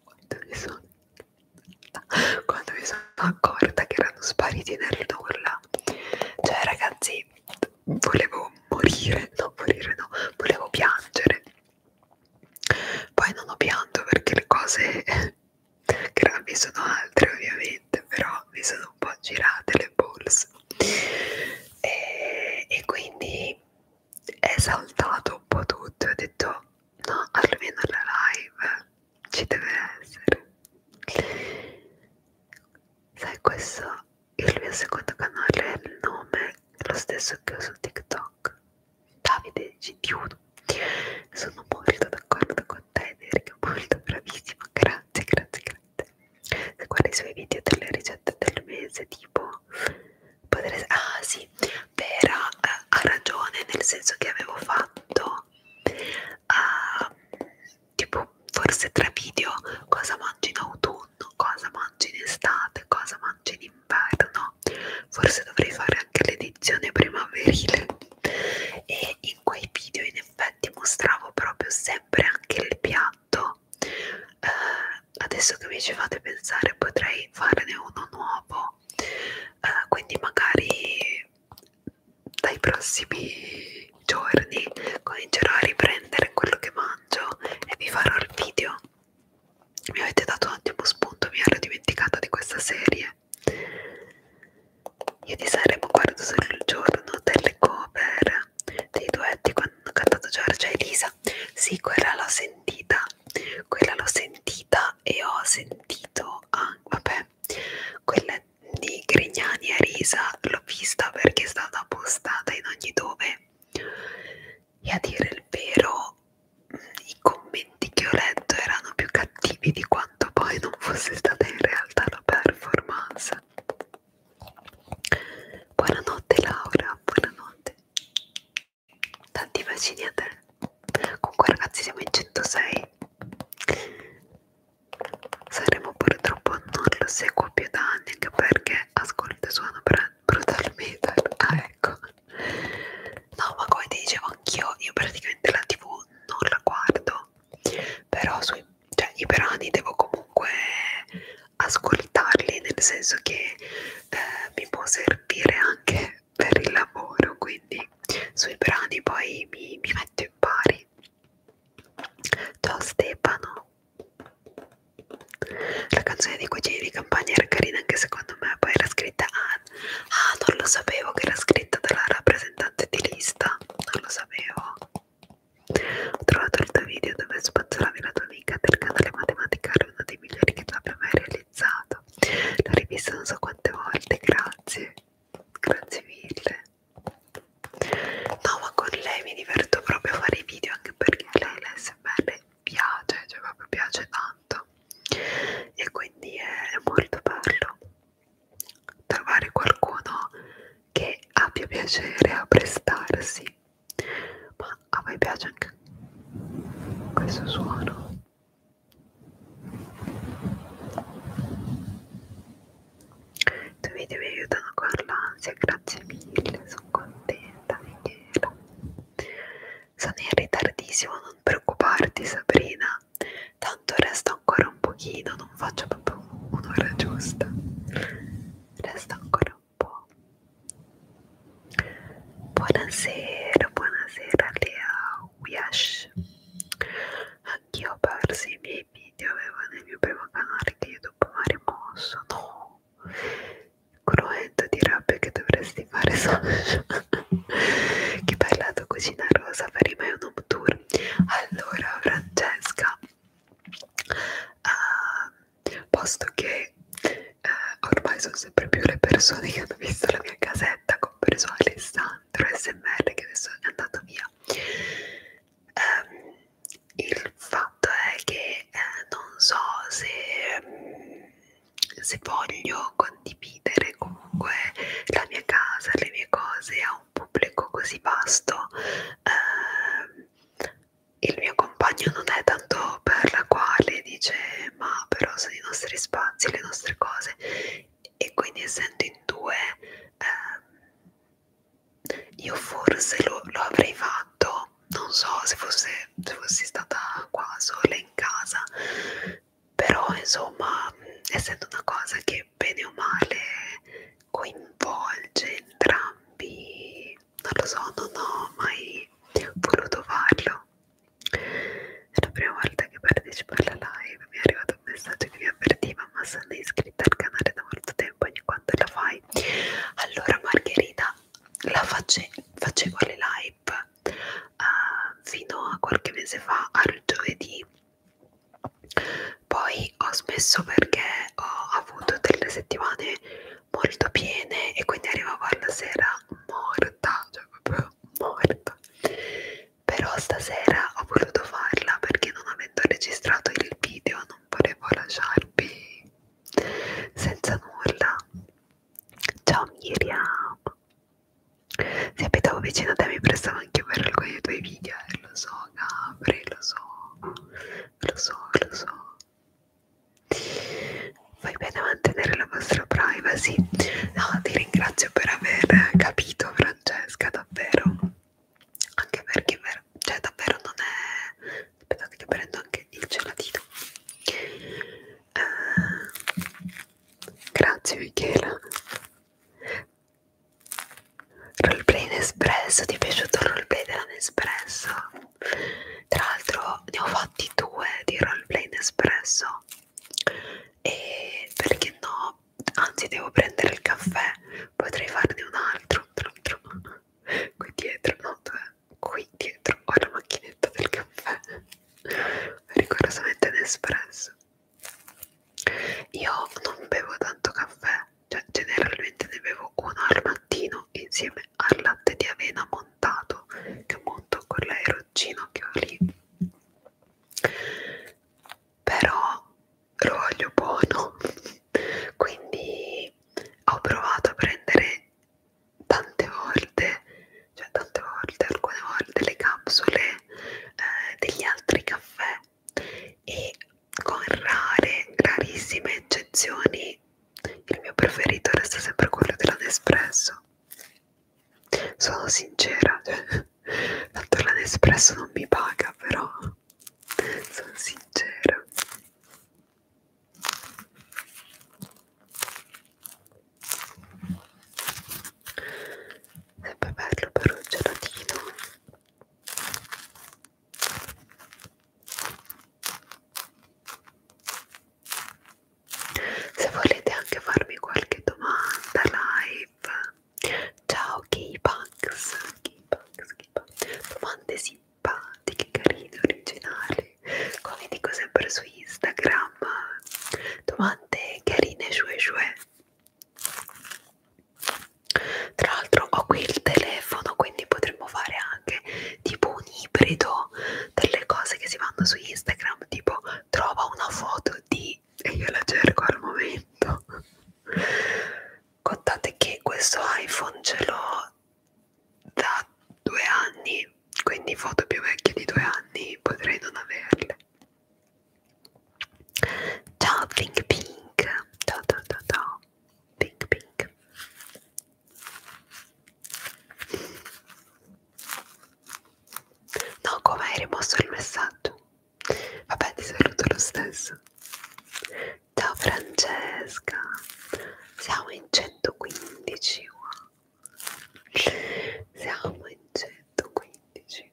Speaker 1: quanto mi sono quando mi sono accorta che erano spariti nel nulla cioè ragazzi volevo morire no morire no volevo piangere poi non ho pianto perché le cose gravi sono altre ovviamente però mi sono un po' girate le balls e, e quindi è saltato un po' tutto ho detto no almeno la live ci deve essere sai questo il mio secondo canale è il nome lo stesso che ho su TikTok Davide Gitiuno sono molto d'accordo con te Erika molto bravissima grazie grazie grazie se guardi i suoi video delle ricette del mese tipo potreste, ah sì Vera eh, ha ragione nel senso che avevo fatto eh, tipo forse tre video cosa mangi in autunno cosa mangi in estate cosa mangi in inverno forse dovrei fare anche l'edizione primaverile e in quei video in effetti mostravo proprio sempre anche il piatto fatto eh, adesso che mi ci fate pensare potrei farne uno nuovo eh, quindi magari dai prossimi giorni comincerò a riprendere quello che mangio e vi farò il video mi avete dato un ottimo spunto mi ero dimenticata di questa serie io di Sanremo guardo solo il giorno delle cover dei duetti quando hanno cantato Giorgia e Elisa sì quella l'ho sentita quella l'ho sentita e ho sentito ah, vabbè quella di Grignani e Risa l'ho vista perché è stata postata in ogni dove e a dire il vero i commenti che ho letto erano più cattivi di quanto poi non fosse stata in realtà la performance Buonanotte Laura, buonanotte. Tanti bacini a te. Comunque ragazzi siamo in 106. Saremo purtroppo non lo seguo più da anni anche perché ascolto e suono brutal metal. Ah ecco. No ma come ti dicevo anch'io, io praticamente la tv non la guardo. Però sui, cioè, i brani devo comunque ascoltarli nel senso che eh, mi può servire anche per il lavoro quindi sui brani poi mi, mi metto in pari ciao Stefano la canzone dei cugini di campagna era carina anche secondo me poi era scritta ah, ah non lo sapevo che era scritta dalla rappresentante di lista non lo sapevo ho trovato il tuo video dove spazzolavi la tua amica del canale Matematicare, uno dei migliori che tu abbia mai realizzato. L'ho rivista non so quante volte, grazie. Grazie mille. No, ma con lei mi diverto proprio a fare i video anche perché lei l'SMR piace, cioè proprio piace tanto. E quindi è molto bello trovare qualcuno che abbia piacere a prestarsi ma a voi piace anche questo suono i tuoi video mi aiutano con l'ansia grazie mille sono contenta Michela sono in ritardissimo non preoccuparti Sabrina tanto resta ancora un pochino non faccio proprio un'ora giusta resta ancora un po'. Buonasera, buonasera Lea Wiash. Anch'io ho perso i miei video, avevo nel mio primo canale di YouTube, ma rimosso, no. Cruento di rabbia che dovresti fare social. che bella tua cucina rosa, per i un home tour. Allora, Francesca, uh, posto che uh, ormai sono sempre più le persone che hanno visto la mia casetta, compreso Alessandro SMR che adesso è andato via. Um, il fatto è che eh, non so se, mm, se voglio condividere comunque la mia casa, le mie cose a un pubblico così vasto, eh, il mio compagno non è tanto per la quale dice ma però sono i nostri spazi, le nostre cose e quindi essendo in due eh, io forse lo, lo avrei fatto non so se, fosse, se fossi stata qua sola in casa però insomma essendo una cosa che bene o male coinvolge entrambi non lo so, non ho mai voluto farlo. È la prima volta che partecipo alla live, mi è arrivato un messaggio che mi avvertiva, ma sono iscritta al canale da molto tempo, ogni quanto la fai. Allora Margherita, la face facevo le live uh, fino a qualche mese fa, al giovedì. Poi ho smesso perché ho avuto delle settimane molto piene e quindi arrivavo alla sera morta, cioè proprio morta. Però stasera ho voluto farla perché non avendo registrato il video non volevo lasciarvi senza nulla. Ciao Miriam! Se abitavo vicino a te mi prestavo anche per alcuni dei tuoi video, eh, lo so Gabri, lo so, lo so, lo so. Fai bene a mantenere la vostra privacy. No, ti ringrazio per aver capito, Francesca, davvero. Anche perché, cioè, davvero non è. Aspetta, che ti prendo anche il gelatino. Uh, grazie, Michela. Roleplay Nespresso, ti è piaciuto il roleplay della Nespresso? tra l'altro ne ho fatti due di roleplay in espresso e perché no anzi devo prendere il caffè potrei farne un altro, un altro. qui dietro no qui dietro ho la macchinetta del caffè rigorosamente in espresso io non bevo tanto caffè cioè, generalmente ne bevo uno al mattino insieme al latte di avena montato che monto con l'aeroncino che ho lì però lo voglio buono quindi ho provato a prendere tante volte cioè tante volte alcune volte le capsule eh, degli altri caffè e con rare rarissime eccezioni il mio preferito resta sempre quello della Nespresso. Sono sincera, tanto la Nespresso non mi paga, però sono sincera. Sempre bello per un gelatino se volete anche farmi qualche domanda live, ciao Keybugs, domande simpatiche, carine, originali, come dico sempre su Instagram, domande carine, shue shue. Tra l'altro ho qui il telefono, quindi potete potremmo fare anche tipo un ibrido delle cose che si fanno su Instagram, tipo trova una foto di e io la cerco al momento. Contate che questo iPhone ce l'ho da due anni, quindi foto più vecchie di due anni potrei non averle. Ciao Think Pink, ciao ciao ciao ciao pink pink no come hai rimosso il messaggio vabbè ti saluto lo stesso ciao Francesca siamo in 115 wow. siamo in 115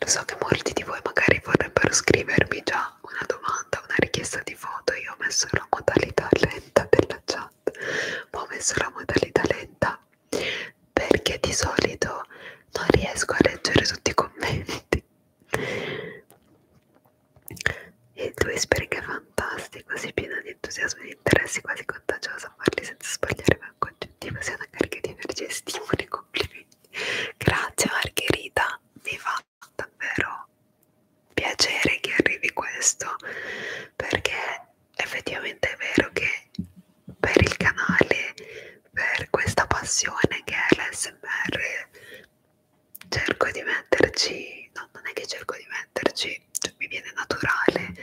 Speaker 1: lo so che molti di voi magari vorrebbero scrivermi già una domanda, una richiesta di foto. Io ho messo la modalità lenta della chat, ma ho messo la modalità lenta perché di solito non riesco a leggere tutti i commenti. E tu speri che è fantastico, sei piena di entusiasmo e di interessi, quasi contagiosa a farli senza sbagliare mai un congettivo, sia una carica di energia e stimoli, complimenti. Grazie Margherita, mi fa davvero piacere che arrivi questo perché effettivamente è vero che per il canale, per questa passione che è l'SMR, cerco di metterci, no, non è che cerco di metterci, cioè mi viene naturale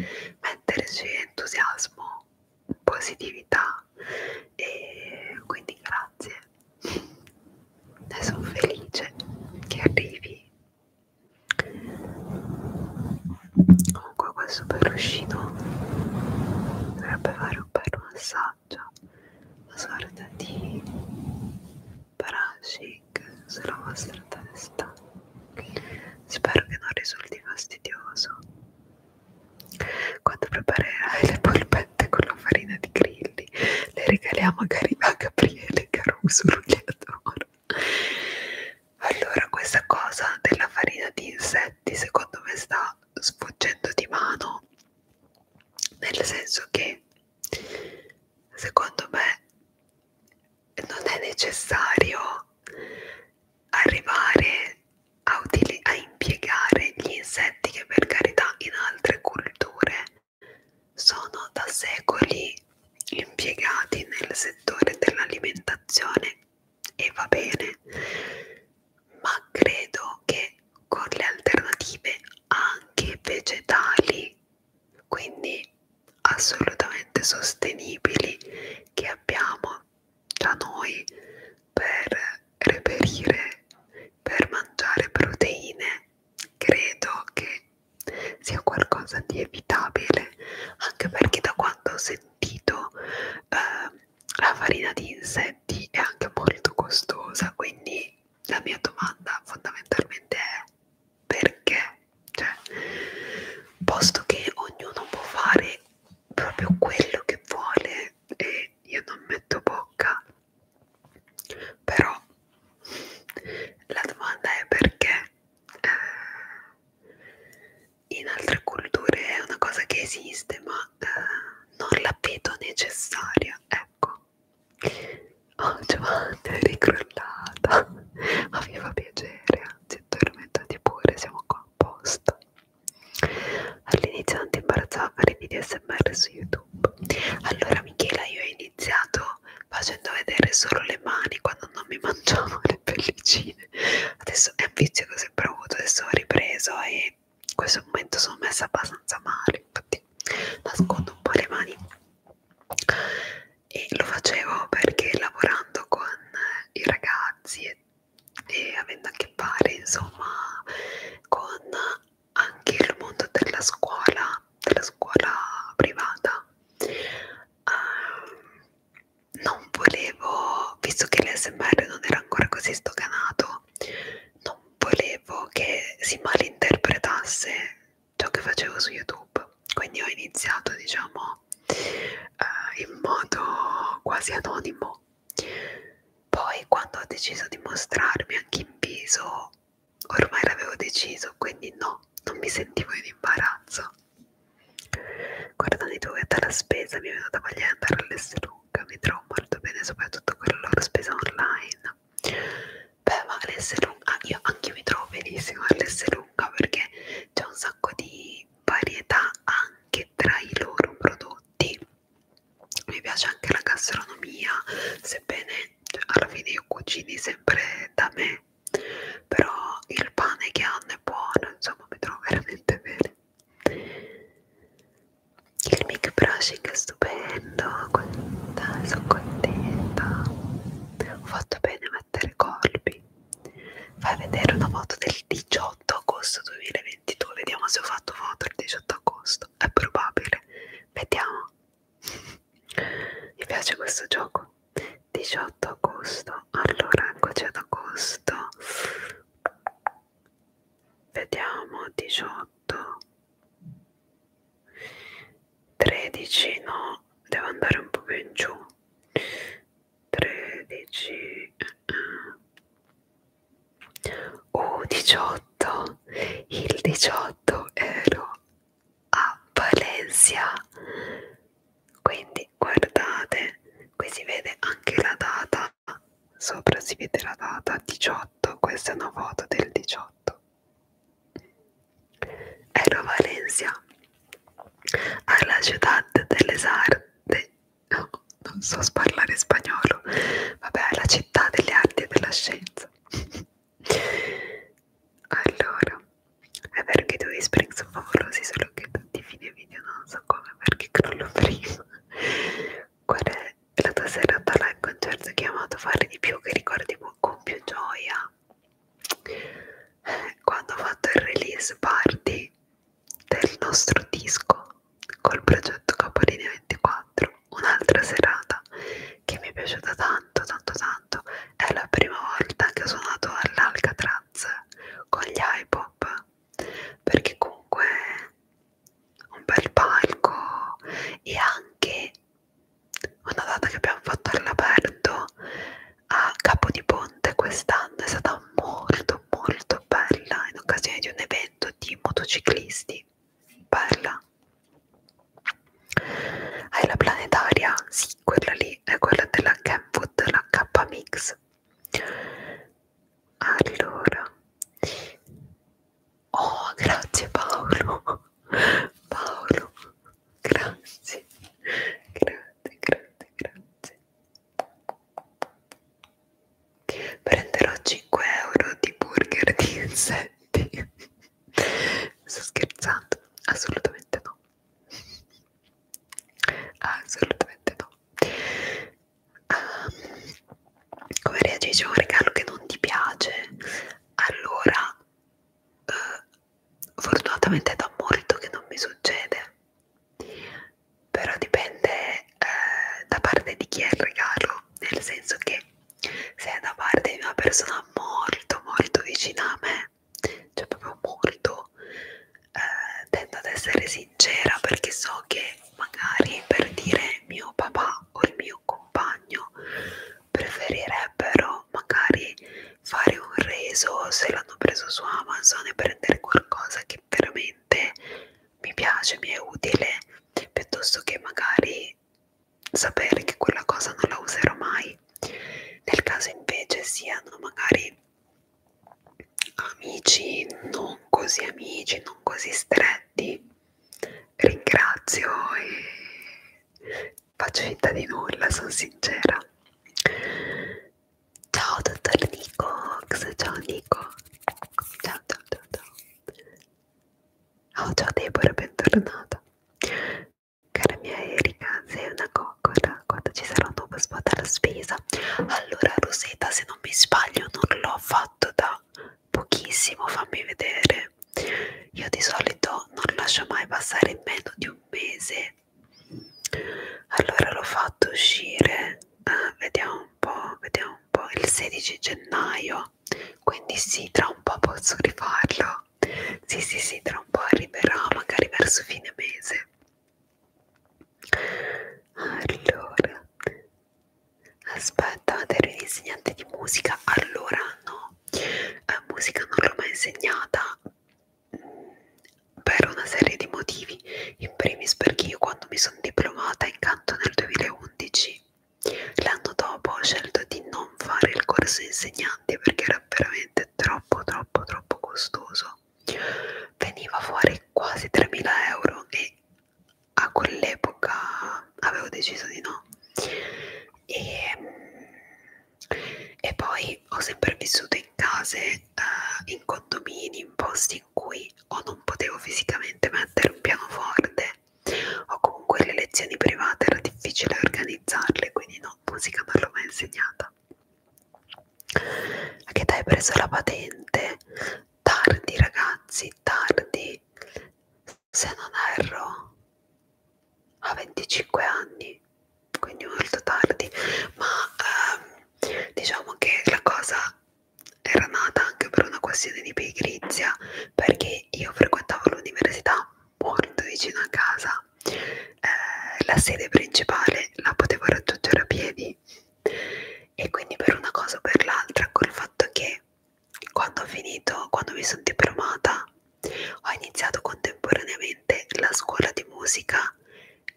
Speaker 1: metterci entusiasmo positività e quindi grazie e sono felice che arrivi comunque questo peruscino dovrebbe fare un bel massaggio una sorta di brushing sulla vostra testa spero che non risulti fastidioso quando preparerai le polpette con la farina di grilli, le regaliamo a Gabriele Caruso Rugliatore. Allora, questa cosa della farina di insetti, secondo me, sta sfuggendo di mano. Nel senso che, secondo me, non è necessario arrivare utili a impiegare gli insetti che per carità in altre culture sono da secoli impiegati nel settore dell'alimentazione e va bene, ma credo che con le alternative anche vegetali, quindi assolutamente sostenibili, che abbiamo da noi per reperire, per mangiare proteine, credo che sia qualcosa di evitabile, anche perché da quando ho sentito eh, la farina di insetti è anche molto costosa, quindi la mia domanda fondamentalmente è perché? Cioè, posto che ognuno può fare proprio quello che vuole e io non metto bocca però la domanda è perché eh, in altre culture è una cosa che esiste ma eh, non la vedo necessaria ecco oh Giovanni è ricrollata ma mi fa piacere anzi addormentati pure siamo qua apposta All'inizio non ti imbarazzava fare video smr su YouTube. Allora Michela io ho iniziato facendo vedere solo le mani quando non mi mangiavo le pellicine. Adesso è un vizio che ho sempre avuto, adesso ho ripreso e in questo momento sono messa abbastanza male, infatti nascondo un po' le mani. E lo facevo perché lavorando con i ragazzi e e avendo a che fare insomma con anche il mondo della scuola, della scuola privata, uh, non volevo, visto che l'SMR non era ancora così stocanato, non volevo che si malinterpretasse ciò che facevo su YouTube, quindi ho iniziato diciamo uh, in modo quasi anonimo poi quando ho deciso di mostrarmi anche in viso, ormai l'avevo deciso, quindi no, non mi sentivo in imbarazzo. Guardando i tuoi alla spesa, mi è venuta voglia di andare all'Esselunga, mi trovo molto bene, soprattutto con la loro spesa online. Beh, ma l'Esselunga, ah, io anche io mi trovo benissimo all'Esselunga perché c'è un sacco di varietà anche tra i loro prodotti mi piace anche la gastronomia sebbene cioè, alla fine io cucini sempre da me però il pane che hanno è buono insomma mi trovo veramente bene il mic brushing è stupendo dai, sono contenta ho fatto bene a mettere colpi fai vedere una foto del 18 18 agosto 2022 vediamo se ho fatto foto il 18 agosto è probabile vediamo mi piace questo gioco 18 agosto allora eccoci ad agosto vediamo 18 13 no devo andare un po' più in giù 13 eh, eh o 18 il 18 ero a Valencia quindi guardate qui si vede anche la data sopra si vede la data 18 questa è una foto del 18 ero a Valencia alla ciudad de les artes No, non so parlare spagnolo. Vabbè, è la città delle arti e della scienza. allora, è vero che i tuoi spring sono favolosi, solo che tutti i fine video non so come perché crollo prima. Qual è la tua serata là al concerto chiamato Fare di più che ricordi con più gioia? Eh, quando ho fatto il release party del nostro disco col progetto Capolinea 24, un'altra serata che mi è piaciuta tanto, tanto, tanto. È la prima volta che ho suonato all'Alcatraz con gli iPop perché comunque un bel palco e anche una data che abbiamo fatto all'aperto a Capodiponte quest'anno è stata molto molto bella in occasione di un evento evento di motociclisti. Bella. Hai la planetaria? Sì, quella lì è quella della Kenwood, la K-Mix. Allora. Oh, grazie Paolo. Paolo, grazie. Grazie, grazie, grazie. Prenderò 5 euro di burger di insetti. Sto scherzando? Assolutamente no. Assolutamente no. Um, come reagisci a un regalo che non ti piace? Allora, uh, fortunatamente è da molto che non mi succede però dipende eh, da parte di chi è il regalo, nel senso che se è da parte di una persona molto molto vicina a me, cioè proprio molto, eh, tendo ad essere sincera perché so che magari per dire mio papà o il mio compagno preferirebbero magari fare un reso se l'hanno preso su Amazon e prendere qualcosa che veramente mi piace, mi è utile, piuttosto che magari sapere che quella cosa non la userò mai. Nel caso invece siano magari amici non così amici, non così stretti, ringrazio e faccio finta di nulla, sono sincera. Ciao dottor Nico, ciao Nico, ciao ciao ciao ciao. Oh, ciao Deborah, bentornata. Cara mia Erika, sei una coccola. Quando ci sarà un nuovo spot alla spesa? Allora, Rosetta, se non mi sbaglio, non l'ho fatto da pochissimo. Fammi vedere. Io di solito non lascio mai passare meno di un mese. Allora l'ho fatto uscire. Ah, vediamo un po', vediamo tempo, il 16 gennaio, quindi sì, tra un po' posso rifarlo. Sì, sì, sì, tra un po' arriverà, magari verso fine mese. Allora, aspetta, ero un insegnante di musica. Allora, no, la eh, musica non l'ho mai insegnata mm, per una serie di motivi in primis perché io quando mi sono diplomata in canto nel 2011 l'anno dopo ho scelto di non fare il corso insegnante perché era veramente troppo troppo troppo costoso veniva fuori quasi 3.000 euro e a quell'epoca avevo deciso di no e, ehm, e poi ho sempre vissuto in case, eh, in condomini, in posti in cui o non potevo fisicamente mettere un pianoforte o comunque le lezioni private era difficile organizzarle, quindi no, musica non l'ho mai insegnata. A che hai preso la patente? Tardi ragazzi, tardi, se non erro, a 25 anni, quindi molto tardi, ma ehm, diciamo che la cosa era nata anche per una questione di pigrizia perché io frequentavo l'università molto vicino a casa eh, la sede principale la potevo raggiungere a piedi e quindi per una cosa o per l'altra col fatto che quando ho finito quando mi sono diplomata ho iniziato contemporaneamente la scuola di musica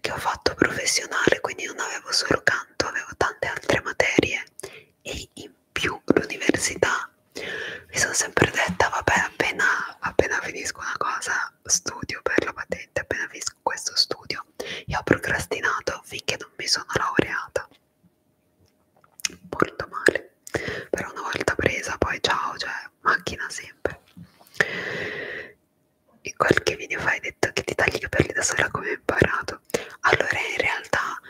Speaker 1: che ho fatto professionale quindi non avevo solo canto avevo tante altre materie e in più l'università mi sono sempre detta vabbè appena, appena finisco una cosa studio per la patente appena finisco questo studio e ho procrastinato finché non mi sono laureata molto male però una volta presa poi ciao cioè macchina sempre in qualche video fai detto che ti tagli i capelli da sola come hai imparato modo allora in realtà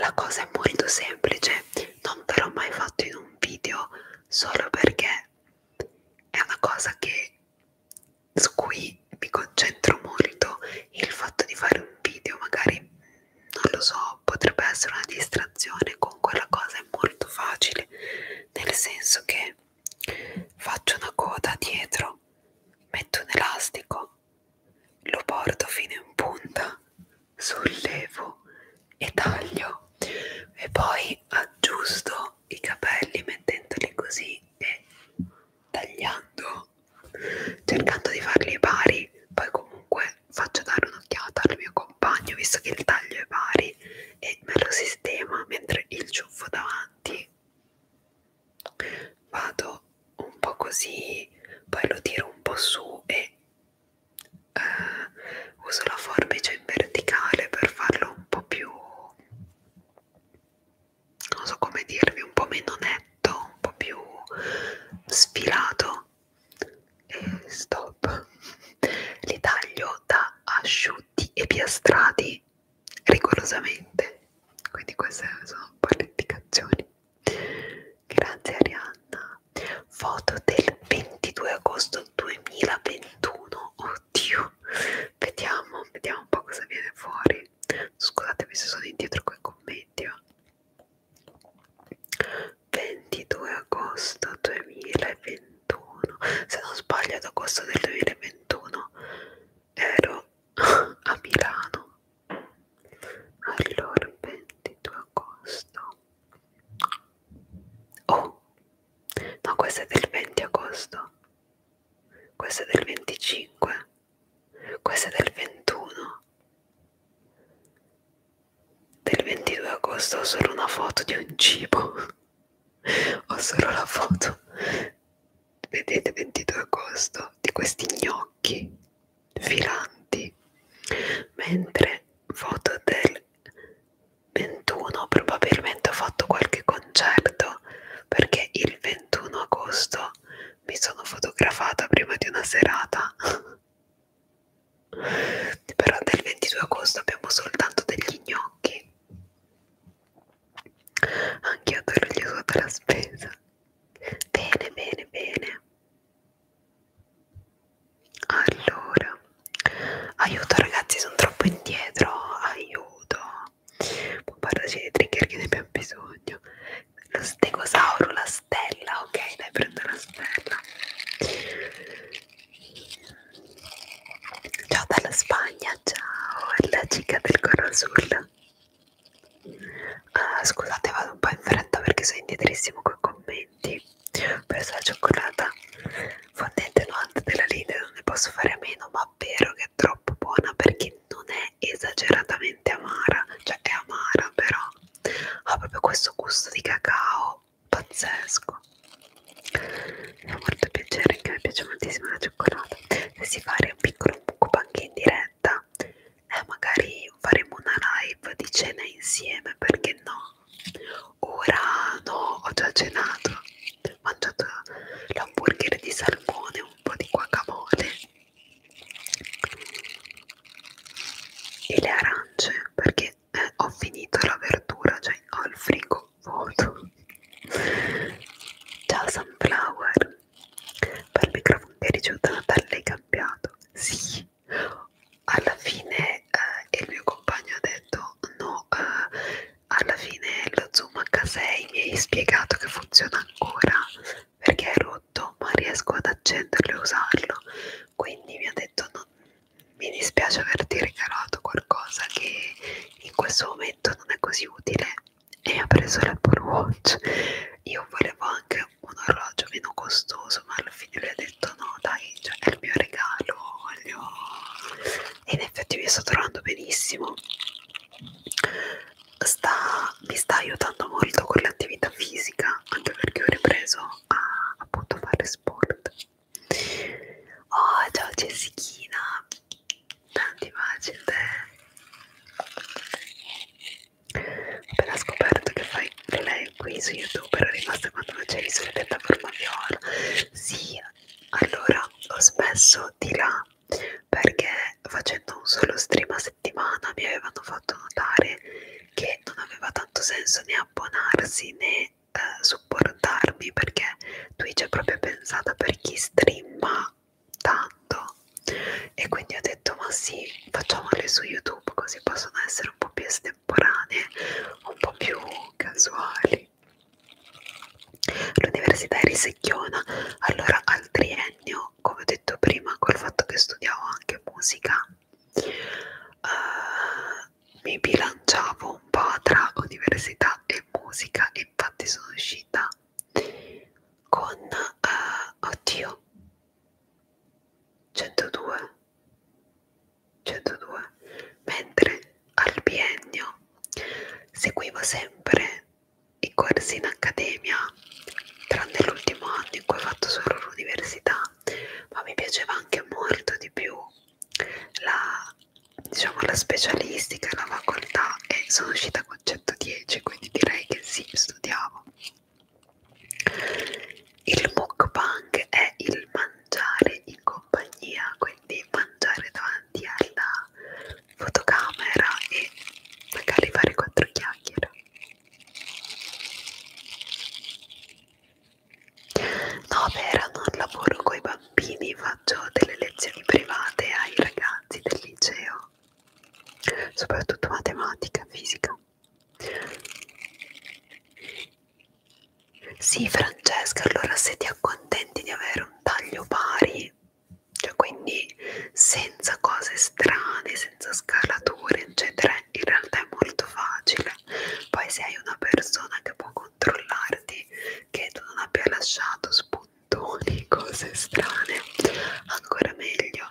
Speaker 1: la cosa è molto semplice non te l'ho mai fatto in un video solo perché è una cosa che su cui mi concentro molto il fatto di fare un video magari non lo so potrebbe essere una distrazione con quella cosa è molto facile nel senso che faccio una coda dietro metto un elastico lo porto fino in punta, sollevo e taglio e poi aggiusto i capelli mettendoli così e tagliando, cercando di farli pari, poi comunque faccio dare un'occhiata al mio compagno visto che il taglio è pari e me lo sistema mentre il ciuffo davanti vado un po' così, poi lo tiro un po' su e uh, uso la forbice in verticale per farlo un po' più, non so come dirvi, un po' meno netto, un po' più sfilato e stop. Li taglio da asciutti e piastrati rigorosamente quindi queste sono un po' le indicazioni grazie Arianna foto del 22 agosto 2021 oddio vediamo vediamo un po' cosa viene fuori scusatemi se sono indietro con i commenti oh. 22 agosto 2021 se non sbaglio ad agosto del 2021 ero a Milano allora 22 agosto oh no questo è del 20 agosto questo è del 25 questo è del 21 del 22 agosto ho solo una foto di un cibo ho solo la foto vedete 22 agosto di questi gnocchi filanti mentre foto del 21 probabilmente ho fatto qualche concerto perché il 21 agosto mi sono fotografata prima di una serata però del 22 agosto abbiamo soltanto degli gnocchi anche io te gli ho la spesa bene bene bene allora aiuto ragazzi sono troppo indietro aiuto può parlarci dei trigger che ne abbiamo bisogno lo stegosauro la stella ok dai prendo la stella ciao dalla Spagna ciao è la cica del Corazul Uh, scusate, vado un po' in fretta perché sono indietrissimo con i commenti. Ho preso la cioccolata fondente notte della Lidl, non ne posso fare a meno, ma è vero che è troppo buona perché non è esageratamente amara, cioè è amara, però ha proprio questo gusto di cacao pazzesco. Mi fa molto piacere, anche a me piace moltissimo la cioccolata. Se si fa un piccolo mukbang in diretta, eh, magari faremo una live di cena insieme perché no ora no ho già cenato ho mangiato l'hamburger di salmone un po' di guacamole e le arance perché eh, ho finito la verdura cioè ho il frigo vuoto ciao sunflower per il microfono che hai ricevuto a Natale l'hai cambiato? Sì, alla fine eh, il mio compagno ha detto no, eh, alla fine lo Zoom H6 mi hai spiegato che funziona ancora perché è rotto ma riesco ad accenderlo e usarlo quindi mi ha detto no, mi dispiace averti regalato qualcosa che in questo momento non è così utile e ha preso l'Apple Watch. Io volevo anche un orologio meno costoso, ma alla fine le ho detto no, dai, cioè, è il mio regalo, voglio... E in effetti mi sto trovando benissimo. Sta, mi sta aiutando molto con l'attività fisica, anche perché ho ripreso a appunto fare sport. Oh, ciao Jessichina, tanti baci a te ho appena scoperto che fai lei qui su youtube era rimasta quando non c'eri sulla piattaforma viola sì allora ho spesso di là perché facendo un solo stream a settimana mi avevano fatto notare che non aveva tanto senso né abbonarsi né eh, supportarmi perché Twitch è proprio pensata per chi streama tanto e quindi ho detto ma sì facciamole su youtube così possono essere un po' più estemporanee un po' più casuali l'università è risecchiona allora al triennio come ho detto prima col fatto che studiavo anche musica uh, mi bilanciavo un po' tra università e musica infatti sono uscita con uh, oddio 102 102 mentre al biennio seguivo sempre i corsi in accademia tranne l'ultimo anno in cui ho fatto solo l'università ma mi piaceva anche molto di più la diciamo la specialistica la facoltà e sono uscita con 110 quindi direi che sì studiavo. Il mukbang è il mangiare in compagnia, quindi mangiare davanti alla fotocamera e magari fare quattro chiacchiere. No, Vera, non lavoro con i bambini, faccio delle lezioni private ai ragazzi del liceo soprattutto matematica, fisica. Sì, Francesca, allora se ti accontenti di avere un taglio pari, cioè quindi senza cose strane, senza scalature, eccetera, in realtà è molto facile. Poi se hai una persona che può controllarti, che tu non abbia lasciato spunti bottoni, cose strane, ancora meglio.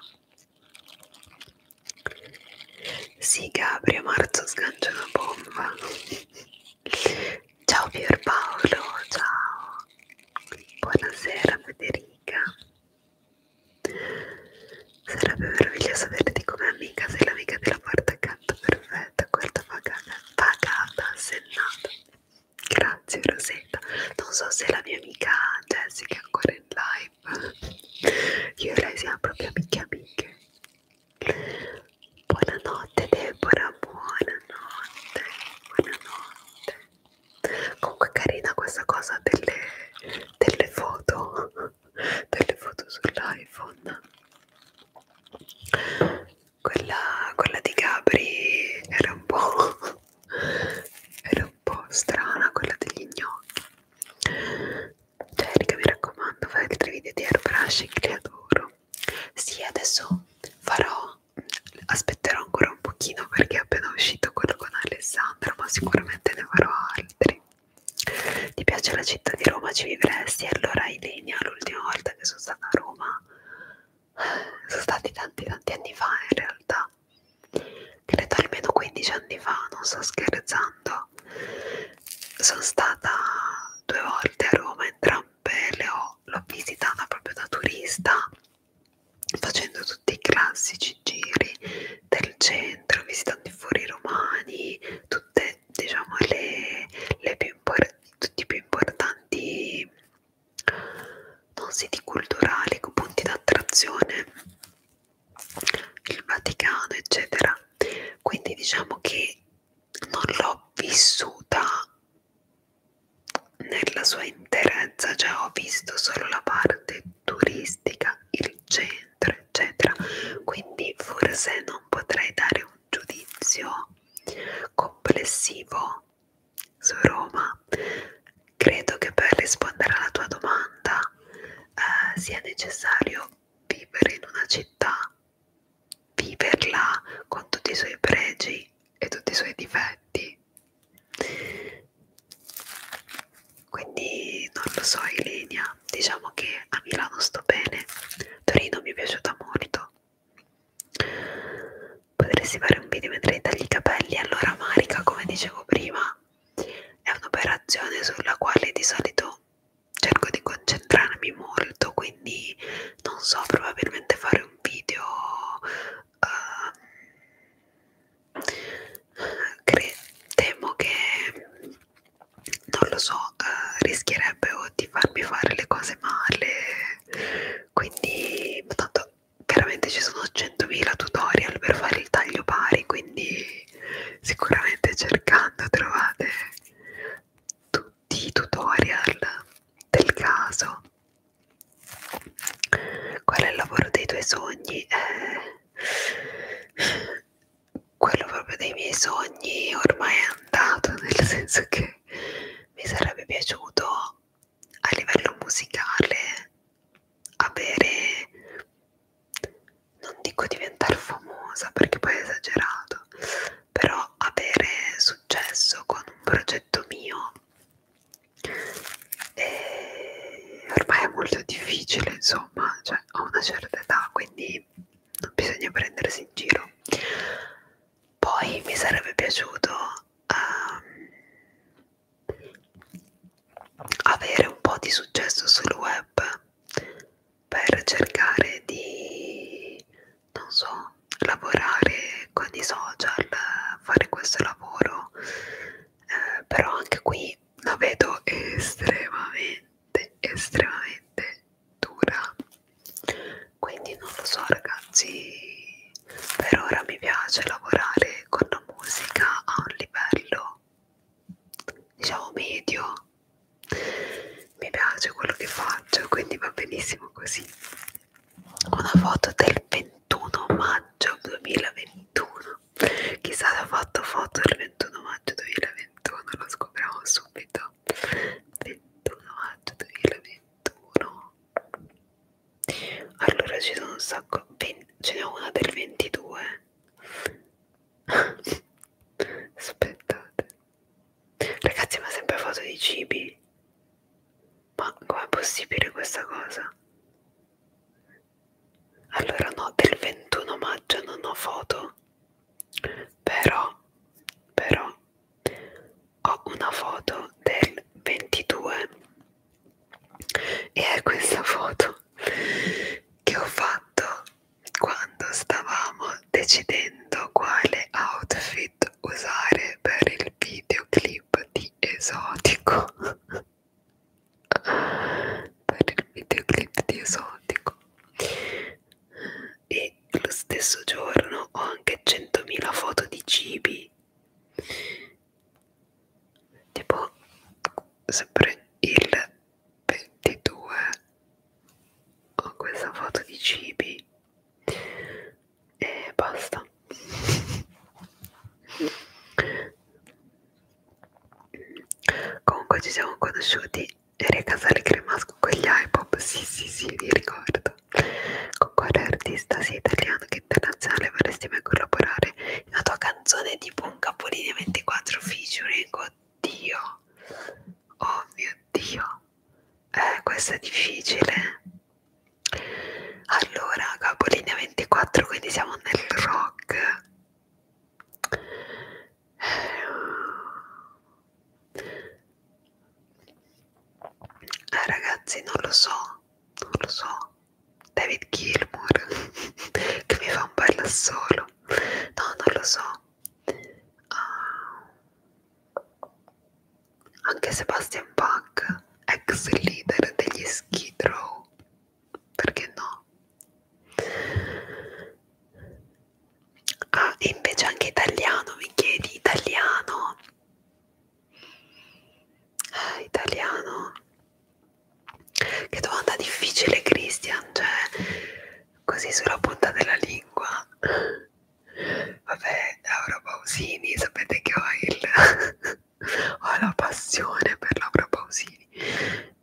Speaker 1: Sì, Gabri, a marzo sgancia una bomba. Ciao Pierpaolo, ciao. Buonasera Federica. Sarebbe meraviglioso saperti come amica, sei l'amica della porta accanto perfetta, guarda pagata, pagata, sennata. Grazie Rosetta, non so se la mia amica Jessica è ancora in live, io e lei siamo proprio amiche amiche. Buonanotte Deborah, buonanotte, buonanotte. Comunque carina questa cosa delle, delle foto, delle foto sull'iPhone. Quella, quella di Gabri era un po'... era un un po' strana quella degli gnocchi Jerica cioè, mi raccomando fai altri video di airbrushing che adoro sì adesso farò aspetterò ancora un pochino perché è appena uscito quello con Alessandro ma sicuramente ne farò altri ti piace la città di Roma ci vivresti allora Ilenia l'ultima volta che sono stata a Roma sono stati tanti tanti anni fa in realtà credo almeno 15 anni fa non sto scherzando sono stata due volte a Roma entrambe le ho l'ho visitata proprio da turista facendo tutti i classici giri del centro visitando i fori romani tutte diciamo le, le più tutti i più importanti non siti culturali con punti d'attrazione il Vaticano eccetera quindi diciamo che non l'ho vissuta nella sua interezza cioè ho visto solo la parte turistica il centro eccetera quindi forse non potrei dare un giudizio complessivo su Roma, credo che per rispondere alla tua domanda eh, sia necessario vivere in una città, viverla con tutti i suoi pregi e tutti i suoi difetti. Quindi non lo so Ilenia, diciamo che a Milano sto bene, Torino mi è piaciuta molto potresti fare un video mentre tagli i capelli allora Marica come dicevo prima è un'operazione sulla quale di solito cerco di concentrarmi molto quindi non so probabilmente fare un video uh, cre temo che non lo so uh, rischierebbe o di farmi fare le cose male quindi tanto chiaramente ci sono 100.000 tutorial per fare il taglio pari quindi sicuramente cercando trovate tutti i tutorial del caso qual è il lavoro dei tuoi sogni? Eh, quello proprio dei miei sogni ormai è andato nel senso che mi sarebbe piaciuto a livello musicale avere non dico diventare famosa perché poi è esagerato però avere successo con un progetto mio e ormai è molto difficile insomma cioè ho una certa età quindi non bisogna prendersi in giro poi mi sarebbe piaciuto um, avere un po' di successo sul web per cercare di non so lavorare con i social fare questo lavoro eh, però anche qui la vedo estremamente estremamente dura quindi non lo so ragazzi per ora mi piace lavorare con la musica a un livello diciamo medio mi piace quello che faccio quindi va benissimo così una foto del 21 maggio 2021 chissà se ho fatto foto del 21 maggio 2021 lo scopriamo subito 21 maggio 2021 allora ci sono un sacco 20, ce n'è una del 22 aspettate ragazzi ma sempre foto di cibi ma com'è possibile questa cosa allora no del 21 maggio non ho foto però però ho una foto del 22 e è questa foto che ho fatto quando stavamo decidendo quale outfit usare per il videoclip di esotico per il videoclip di esotico e lo stesso giorno ho anche 100.000 foto di cibi tipo sempre il 22 ho questa foto di cibi e basta comunque ci siamo conosciuti eri Casale Cremasco con gli iPop sì sì sì vi ricordo con quale artista sia italiano che internazionale vorresti mai collaborare la tua canzone è tipo un capolinea 24 featuring, oddio, oh mio dio, eh, questo è difficile. Allora, capolinea 24, quindi siamo nel rock. Eh, ragazzi, non lo so, non lo so. David Gilmour che mi fa un bel assolo no non lo so uh, anche Sebastian Bach ex leader degli Skid Row perché no ah e invece anche italiano mi chiedi italiano Ah, italiano che domanda difficile Christian cioè così sulla punta della lingua vabbè Laura Pausini sapete che ho, il, ho la passione per Laura Pausini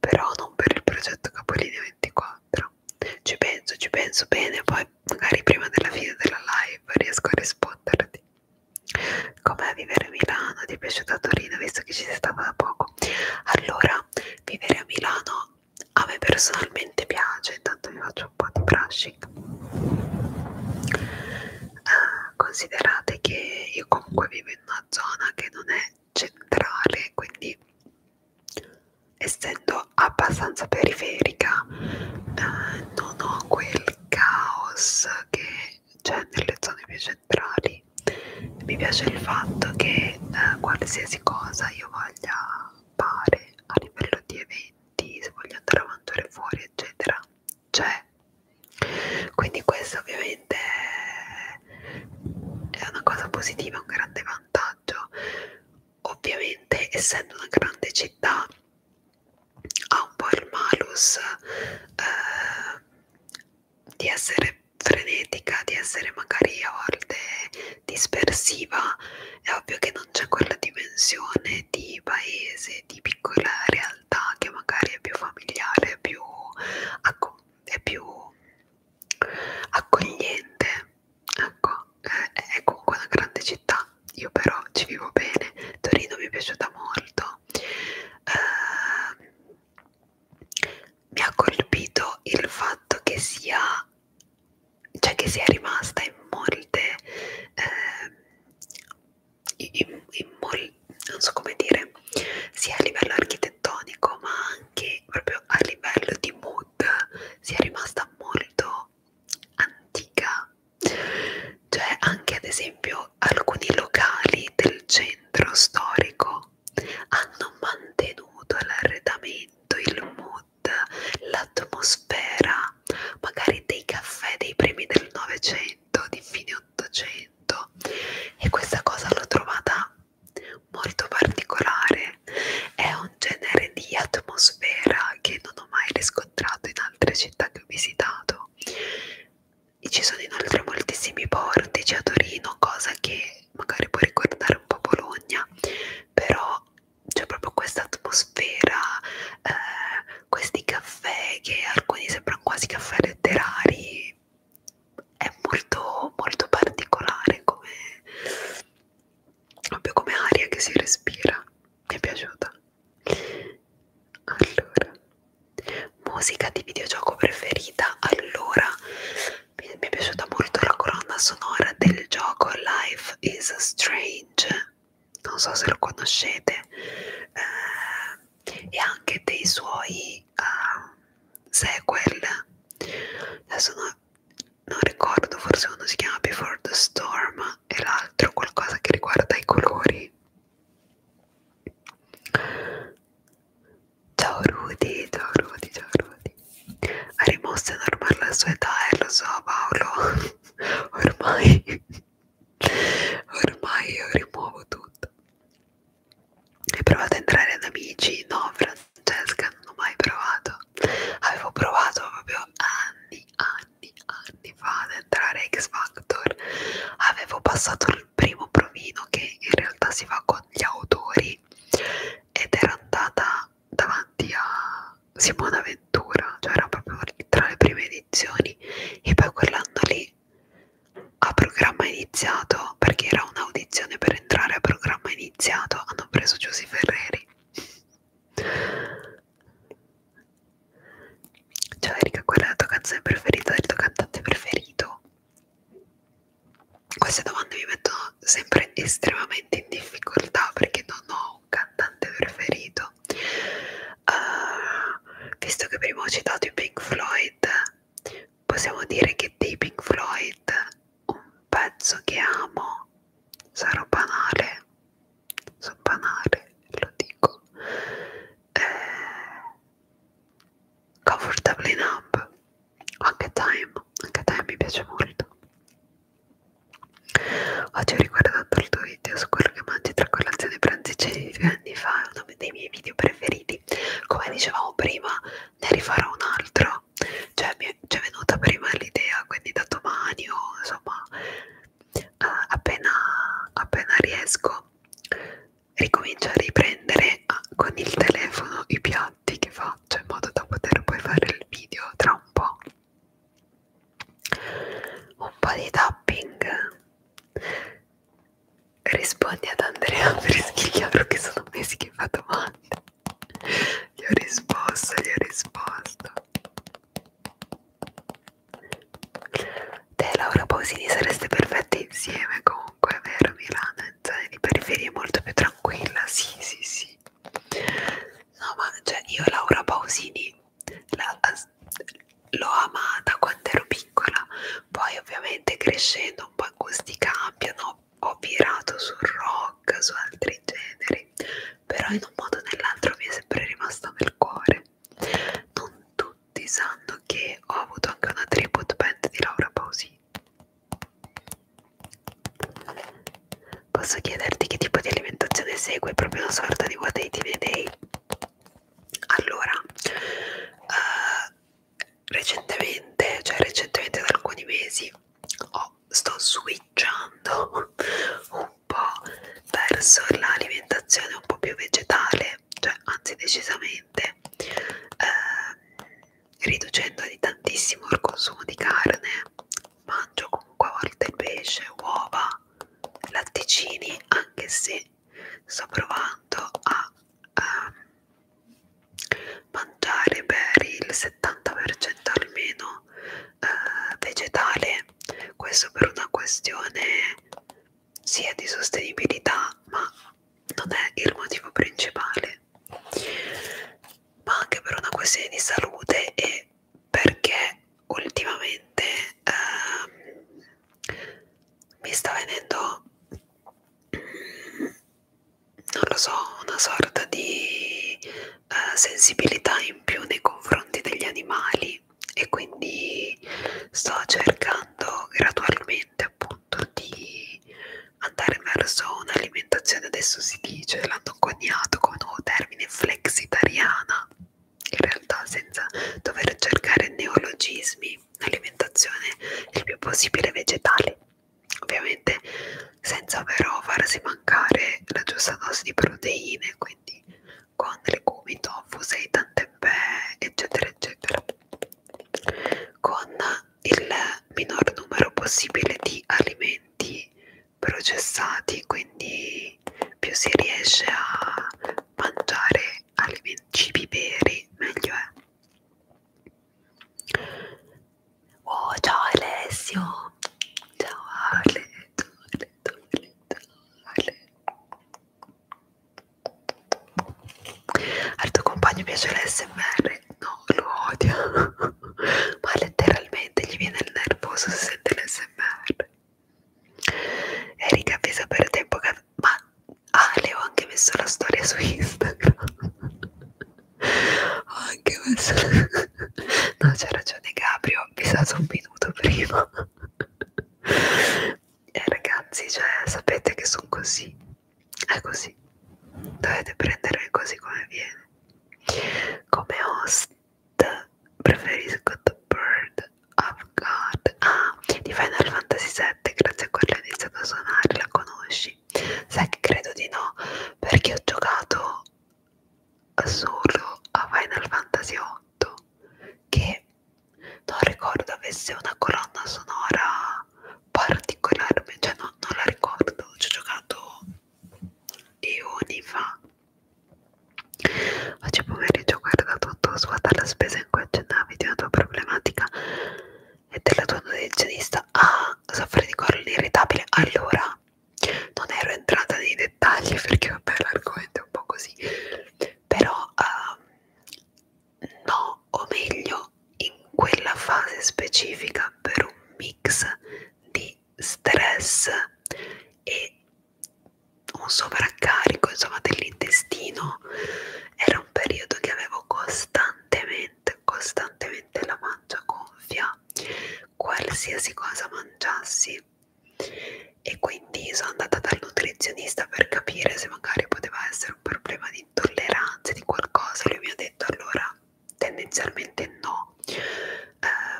Speaker 1: però non per il progetto Capolinea 24 ci penso ci penso bene poi magari prima della fine della live riesco a risponderti Com'è vivere a Milano? Ti è piaciuta Torino visto che ci sei stata da poco? Allora, vivere a Milano a me personalmente piace, intanto vi faccio un po' di brushing. Uh, considerate che io comunque vivo in una zona che non è centrale, quindi essendo abbastanza periferica eh, non ho quel caos che cioè nelle zone più centrali mi piace il fatto che eh, qualsiasi cosa io voglia fare a livello di eventi se voglio andare a mangiare fuori eccetera c'è quindi questo ovviamente è una cosa positiva un grande vantaggio ovviamente essendo una grande città ha un po' il malus eh, di essere frenetica, di essere magari a volte dispersiva, è ovvio che non c'è quella dimensione di paese, di piccola realtà che magari è più familiare, è più, è più accogliente, ecco, è comunque una grande città, io però ci vivo bene, Torino mi è piaciuta molto, eh, mi ha colpito il fatto che sia cioè che sia rimasta in molte eh, in, in mol, non so come dire sia a livello architettonico ma anche proprio a livello di mood sia rimasta molto antica c'è cioè, anche ad esempio alcuni locali del centro storico hanno mantenuto l'arredamento, il mood, l'atmosfera, magari dei caffè dei primi del Novecento, di fine Ottocento e questa cosa l'ho trovata molto particolare. È un genere di atmosfera che non ho mai riscontrato in altre città che ho visitato e ci sono inoltre moltissimi portici a Torino, cosa che magari può ricordare un po' Bologna, però c'è proprio questa atmosfera, eh, questi caffè che alcuni sembrano quasi caffè letterari, è molto, molto particolare come, proprio come aria che si respira, mi è piaciuta allora musica di videogioco preferita allora mi è piaciuta molto la colonna sonora del gioco Life is Strange non so se lo conoscete eh, e anche dei suoi uh, sequel adesso no, non ricordo forse uno si chiama Before the Storm e l'altro qualcosa che riguarda i colori Ciao Rudy, ciao Rudy, ciao Rudy. Ha rimosso è normale la sua età, eh, lo so Paolo. Ormai, ormai io rimuovo tutto. Hai provato a entrare ad amici? No, Francesca, non ho mai provato. Avevo provato proprio anni, anni, anni fa ad entrare a X Factor. Avevo passato al primo provino che in realtà si fa con gli autori ed era andata davanti a Simona Ventura, cioè era proprio tra le prime edizioni e poi quell'anno lì a programma iniziato perché era un'audizione per entrare a programma iniziato hanno preso Giussi Ferreri Ciao Erika, qual è la tua canzone preferita del tuo cantante preferito? Queste domande mi mettono sempre estremamente in difficoltà perché non ho un cantante preferito. Uh, visto che prima ho citato i Pink Floyd, possiamo dire che dei Pink Floyd un pezzo che amo sarò banale, sono banale, lo dico. Eh, Comfortably Numb anche Time anche Time mi piace molto oggi ho riguardato il tuo video su quello che mangi tra colazione e pranzicini di due anni fa è uno dei miei video preferiti come dicevamo prima ne rifarò un altro cioè mi è cioè, venuta prima l'idea quindi da domani o insomma eh, appena appena riesco ricomincia a riprendere a, ah, con il telefono i piatti che faccio in modo da poter poi fare il video tra un po' un po' di tapping rispondi ad Andrea Freschigliaro che sono mesi che fa domande gli ho risposto gli ho risposto Te Laura Pausini sareste perfetti insieme comunque, è vero Milano, in zone di periferia è molto più tranquilla, sì sì sì. No ma cioè io Laura Pausini l'ho amata quando ero piccola, poi ovviamente crescendo un po' i gusti cambiano, ho virato sul rock, su altri generi, però in un modo o nell'altro mi è sempre rimasta nel cuore non tutti sanno che ho avuto anche una tribute band di Laura Pausini posso chiederti che tipo di alimentazione segue proprio una sorta di what eating a day allora uh, recentemente cioè recentemente da alcuni mesi oh, sto switchando un po' verso l'alimentazione un po' più vegetale cioè anzi decisamente eh, riducendo di tantissimo il consumo di carne mangio comunque a volte il pesce uova latticini anche se sto provando a eh, mangiare per il 70% almeno eh, vegetale questo per una questione sì è di sostenibilità ma non è il motivo principale ma anche per una questione di salute e perché ultimamente ehm, mi sta venendo mm, non lo so una sorta di eh, sensibilità in più nei confronti degli animali e quindi sto cercando gradualmente appunto di andare verso un'alimentazione adesso si dice l'hanno coniato come nuovo termine flexitariana in realtà senza dover cercare neologismi un'alimentazione il più possibile vegetale ovviamente senza però farsi mancare la giusta dose di proteine quindi con legumi, tofu, seitan, tempeh eccetera eccetera con il minor numero possibile di alimenti processati quindi più si riesce a mangiare alimenti cibi veri meglio è Oh, ciao Alessio! Ciao Ale, ciao Ale, ciao Ale, ciao Ale. Al tuo compagno piace l'SMR? No, lo odia. Ma letteralmente gli viene il nervoso se sente l'SMR. Erika avvisa per tempo che... Ma ah, le ho anche messo la storia su Instagram. ho anche messo... no, c'ha ragione Gabrio, ho avvisato un minuto prima eh, ragazzi, cioè, sapete che sono così, è così, dovete prendere così come viene. Come host preferisco The Bird of God, ah, di Final Fantasy VII, grazie a quella ho iniziato a suonare, la conosci? Sai che credo di no, perché ho giocato solo a Final Fantasy VIII, che non ricordo avesse una colonna sonora particolare, cioè no, non la ricordo, ci ho giocato eoni fa. Oggi pomeriggio ho guardato un tuo squad alla spesa in cui accennavi di una tua problematica e della tua nutrizionista. Ah, soffri di collo irritabile. Allora, non ero entrata nei dettagli perché vabbè l'argomento è un po' così, però uh, no o meglio in quella fase specifica per un mix di stress e un sovraccarico insomma dell'intestino era un periodo che avevo costantemente costantemente la mangia gonfia qualsiasi cosa mangiassi e quindi sono andata dal nutrizionista per capire se magari poteva essere un problema di intolleranza di qualcosa lui mi ha detto allora tendenzialmente no eh,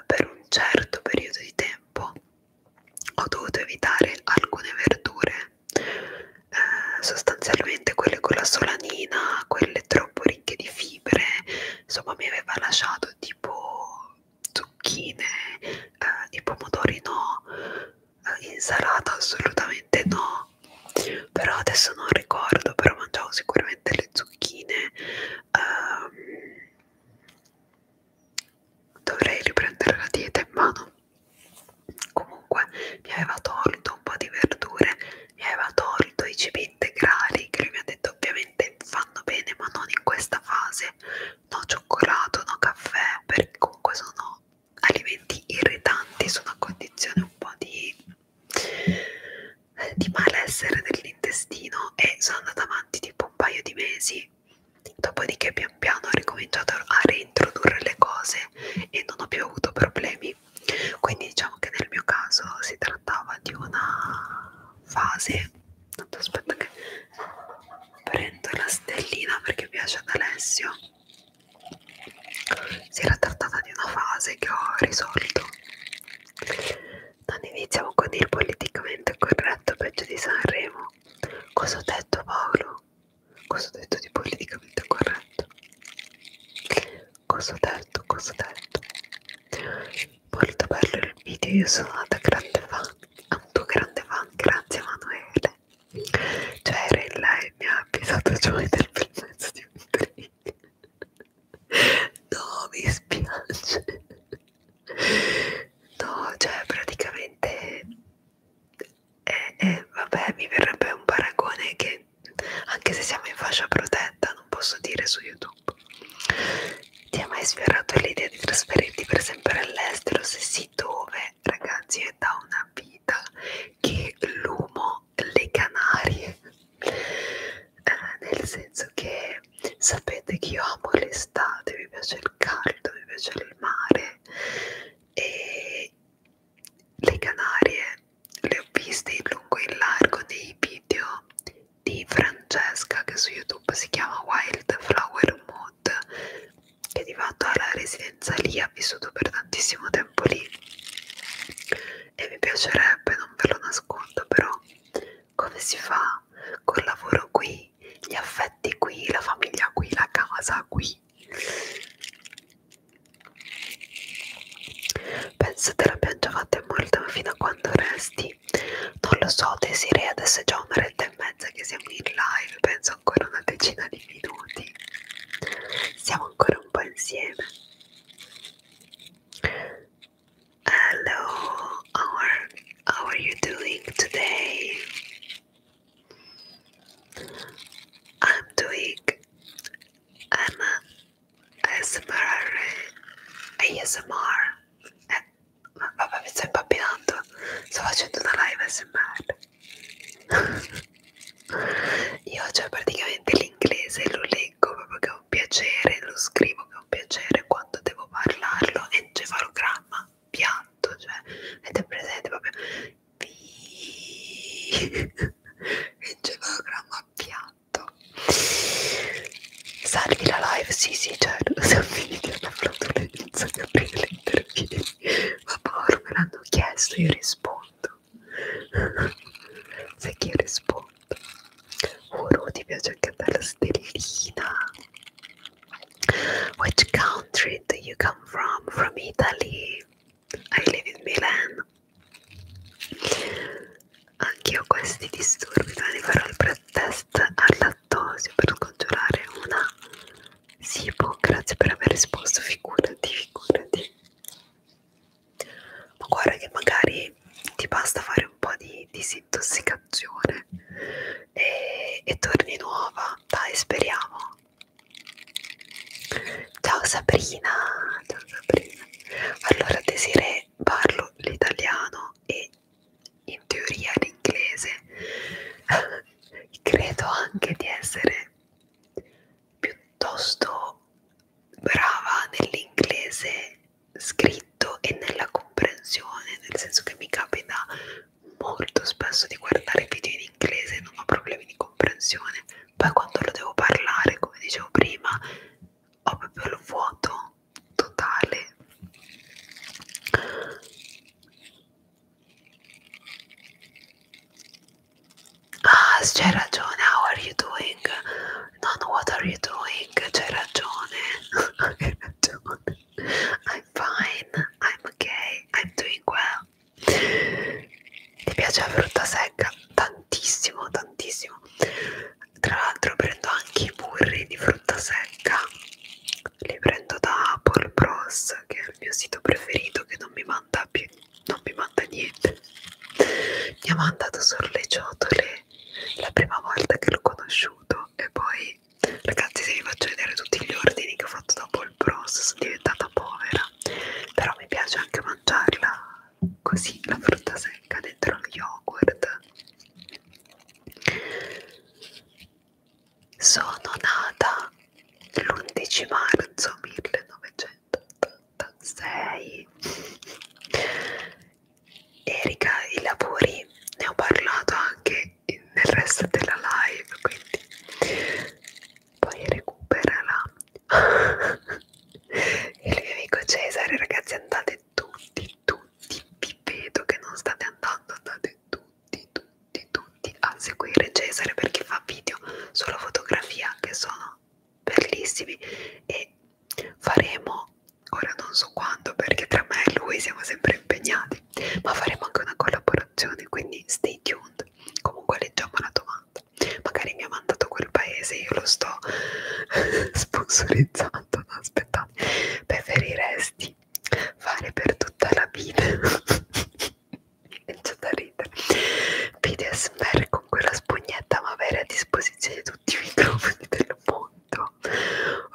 Speaker 1: per un certo periodo di tempo ho dovuto evitare alcune verdure eh, sostanzialmente quelle con la solanina quelle troppo ricche di fibre insomma mi aveva lasciato tipo zucchine eh, i pomodori no insalata assolutamente no però adesso non ricordo però mangiavo sicuramente le zucchine um, dovrei riprendere la dieta in mano comunque mi aveva tolto un po' di verdure mi aveva tolto i cibi integrali che lui mi ha detto ovviamente fanno bene ma non in questa fase no cioccolato no caffè perché comunque sono alimenti irritanti sono a condizione un po' di, di malessere dell'intestino e sono andata avanti tipo un paio di mesi dopodiché pian piano ho ricominciato a reintrodurre le cose e non ho più avuto problemi quindi diciamo che nel mio caso si trattava di una fase aspetta che prendo la stellina perché piace ad Alessio si era trattata di una fase che ho risolto. Non iniziamo con il politicamente corretto peggio di Sanremo. Cosa ho detto Paolo? Cosa ho detto di politicamente corretto? Cosa ho detto? Cosa ho detto? Molto bello il video, io sono andata grande fan, un tuo grande fan, grazie Emanuele. Cioè era in là e mi ha avvisato Joy del bel mezzo di un drink. No, mi spiace. No, cioè praticamente... Eh, eh, vabbè, mi verrebbe un paragone che anche se siamo in fascia protetta non posso dire su YouTube. Ti è mai sfiorato l'idea di trasferirti per sempre all'estero? Se sì, dove? ragazzi è da una vita che lumo le Canarie eh, nel senso che sapete che io amo l'estate mi piace il caldo mi piace il mare e le Canarie le ho viste in lungo e in largo nei video di Francesca che su YouTube si chiama Wildflower Mood che di fatto ha la residenza lì, ha vissuto per tantissimo tempo lì e mi piacerebbe, non ve lo nascondo però, come si fa col lavoro qui, gli affetti qui, la famiglia qui, la casa qui. Penso te l'abbia già fatta molto, ma fino a quando resti? Non lo so, Desiree, adesso è già un'oretta e mezza che siamo in live, penso ancora una decina di minuti. Hello, how are you doing today? I'm doing I'm ASMR ASMR eh, vabbè sto impappinando sto facendo una live ASMR io cioè praticamente l'inglese lo leggo proprio che è un piacere, lo scrivo che è un piacere quando devo parlarlo, encefalogramma, piatto, cioè avete presente proprio encefalogramma piatto. Salvi la live, sì sì certo, se un video una flatulenza che aprire le interviste ma povero me l'hanno chiesto io rispondo sai che io rispondo oh ti piace anche a la stellina which country do you come from from Italy I live in Milan anche io ho questi disturbi, domani farò il pre-test al lattosio per scongiurare una sì, boh, grazie per aver risposto, figurati, figurati. Ma guarda che magari ti basta fare un po' di disintossicazione e, e torni nuova, dai, speriamo. Ciao Sabrina, ciao Sabrina. Allora Desiree parlo l'italiano e in teoria l'inglese. Credo anche di essere piuttosto brava nell'inglese scritto e nella comprensione, nel senso che mi capita molto spesso di guardare video in inglese e non ho problemi di comprensione. Poi quando lo devo parlare, come dicevo prima, ho proprio il vuoto totale. Yes, ah, Ceratone, how are you doing? None, what are you doing? Ceratone. I'm fine, I'm okay, I'm doing well. Ti piace la frutta secca? Tantissimo, tantissimo. Tra l'altro prendo anche i burri di frutta secca li prendo da Apple Bros che è il mio sito preferito che non mi manda più non mi manda niente mi ha mandato solo le ciotole la prima volta che l'ho conosciuto e poi ragazzi se vi faccio vedere tutti gli ordini che ho fatto da Apple Bros sono diventata povera però mi piace anche mangiarla così la frutta secca dentro lo yogurt sono nata l'11 marzo 1986 Erika, i lavori ne ho parlato anche nel resto della live, quindi poi recuperala. Il mio amico Cesare, ragazzi, andate tutti, tutti, vi vedo che non state andando, andate tutti tutti, tutti, tutti a seguire Cesare perché fa video sulla fotografia che sono bellissimi e faremo, ora non so quando perché tra me e lui siamo sempre impegnati, ma faremo anche una collaborazione, quindi stay tuned. Comunque leggiamo la domanda, magari mi ha mandato quel paese, io lo sto sponsorizzando, no, aspettate, preferiresti fare per tutta la vita c'è da ridere vide ASMR con quella spugnetta ma avere a disposizione tutti i microfoni del mondo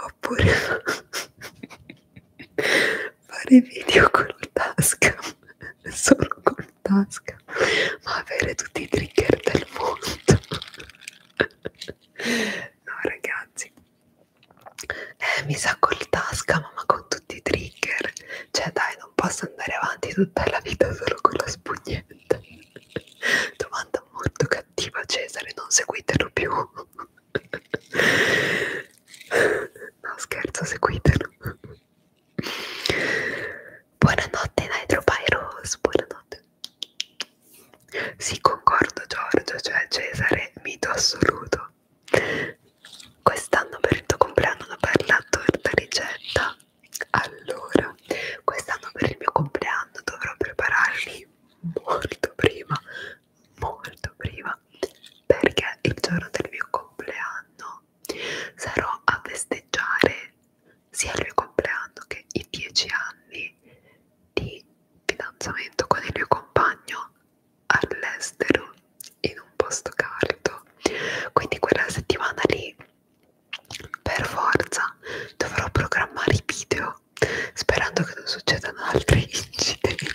Speaker 1: oppure fare video con il tasca solo con il tasca ma avere tutti i trigger del mondo no ragazzi eh, mi sacco il tasca ma con tutti i trigger cioè dai non posso andare avanti tutta la vita solo con la spugnetta domanda molto cattiva Cesare non seguitelo più no scherzo seguitelo buonanotte Nitro Pyros buonanotte sì concordo Giorgio cioè Cesare mito assoluto Quest'anno per il tuo compleanno non parla torta ricetta. Allora, quest'anno per il mio compleanno dovrò prepararmi molto prima, molto prima, perché il giorno del mio compleanno sarò a festeggiare sia il mio compleanno che i 10 anni di fidanzamento con il mio compagno all'estero in un posto caldo quindi quella settimana lì per forza dovrò programmare i video sperando che non succedano altri incidenti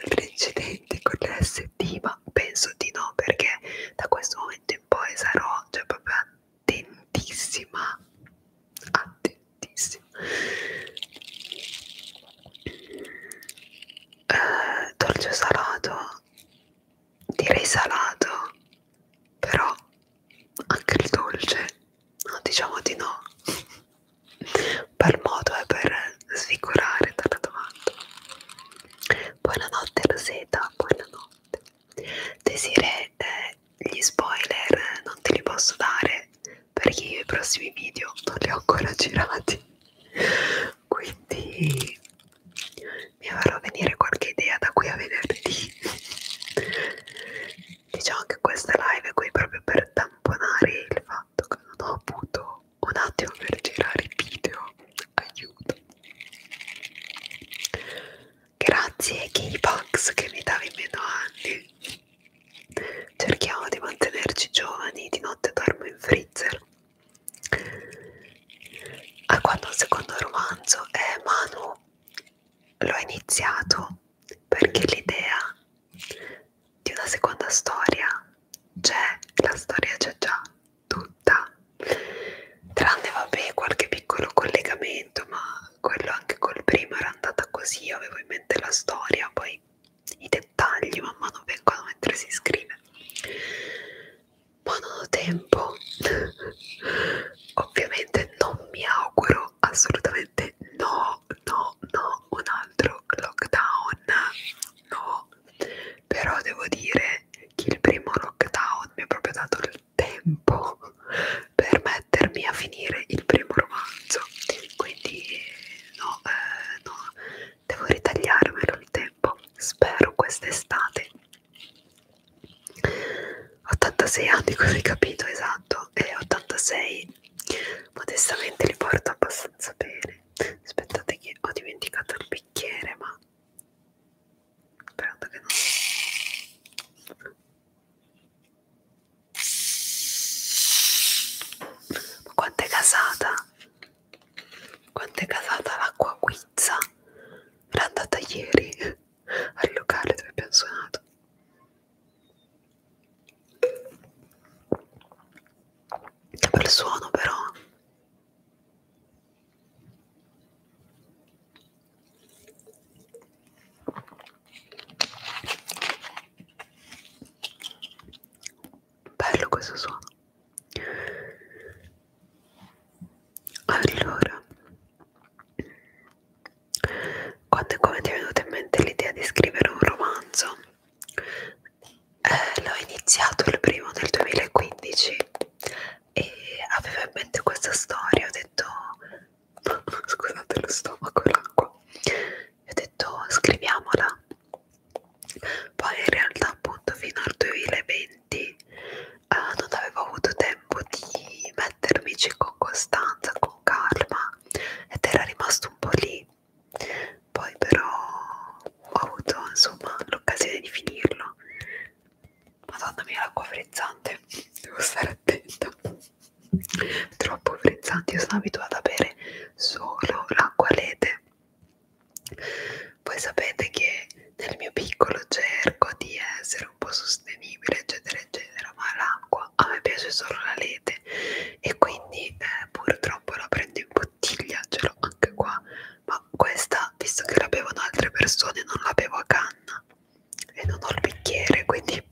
Speaker 1: altri incidenti con l'SD ma penso di no perché da questo momento in poi sarò cioè proprio attentissima attentissima eh, dolce salato direi salato però anche il dolce no, diciamo di no per modo e per sfigurare dalla domanda buonanotte Rosetta buonanotte Desire eh, gli spoiler non te li posso dare perché io i prossimi video non li ho ancora girati quindi mi farò venire qualche idea da qui a venerdì diciamo che questa live è qui proprio per tamponare il fatto che non ho avuto un attimo per girare i video aiuto grazie K-Box che mi davi meno anni Cerchiamo di mantenerci giovani, di notte dormo in freezer. A ah, quando il secondo romanzo è Manu, l'ho iniziato perché l'idea di una seconda storia c'è, la storia c'è già tutta, tranne vabbè qualche piccolo collegamento, ma quello anche col primo era andata così, avevo in mente la storia, poi i dettagli man mano vengono mentre si scrive ma non ho tempo ovviamente non mi auguro assolutamente no no no un altro lockdown no però devo dire che il primo lockdown mi ha proprio dato il tempo per mettermi a finire il primo romanzo quindi no, eh, no devo ritagliarmelo il tempo, spero quest'estate. 86 anni, così capito, esatto, e 86 modestamente li porto abbastanza bene. Aspettate che ho dimenticato il bicchiere, ma sperando che non si ma quanto è casata? Quanto è casata l'acqua guizza? Era andata ieri al locale dove abbiamo suonato. Che bel suono però bello questo suono allora quando e come ti è venuta in mente l'idea di scrivere un romanzo eh, l'ho iniziato il primo del 2015 e avevo in mente questa storia ho detto scusate lo stomaco e l'acqua e ho detto scriviamola poi in realtà appunto fino al 2020 eh, non avevo avuto tempo di mettermici con costanza, con calma ed era rimasto un po' lì poi però ho avuto insomma l'occasione di finirlo madonna mia l'acqua frizzante devo stare attenta troppo frizzante io sono abituata a bere solo l'acqua lede. Voi sapete che nel mio piccolo cerco di essere un po' sostenibile, eccetera, eccetera, ma l'acqua a me piace solo la lete e quindi eh, purtroppo la prendo in bottiglia, ce l'ho anche qua, ma questa, visto che la bevono altre persone, non la bevo a canna e non ho il bicchiere, quindi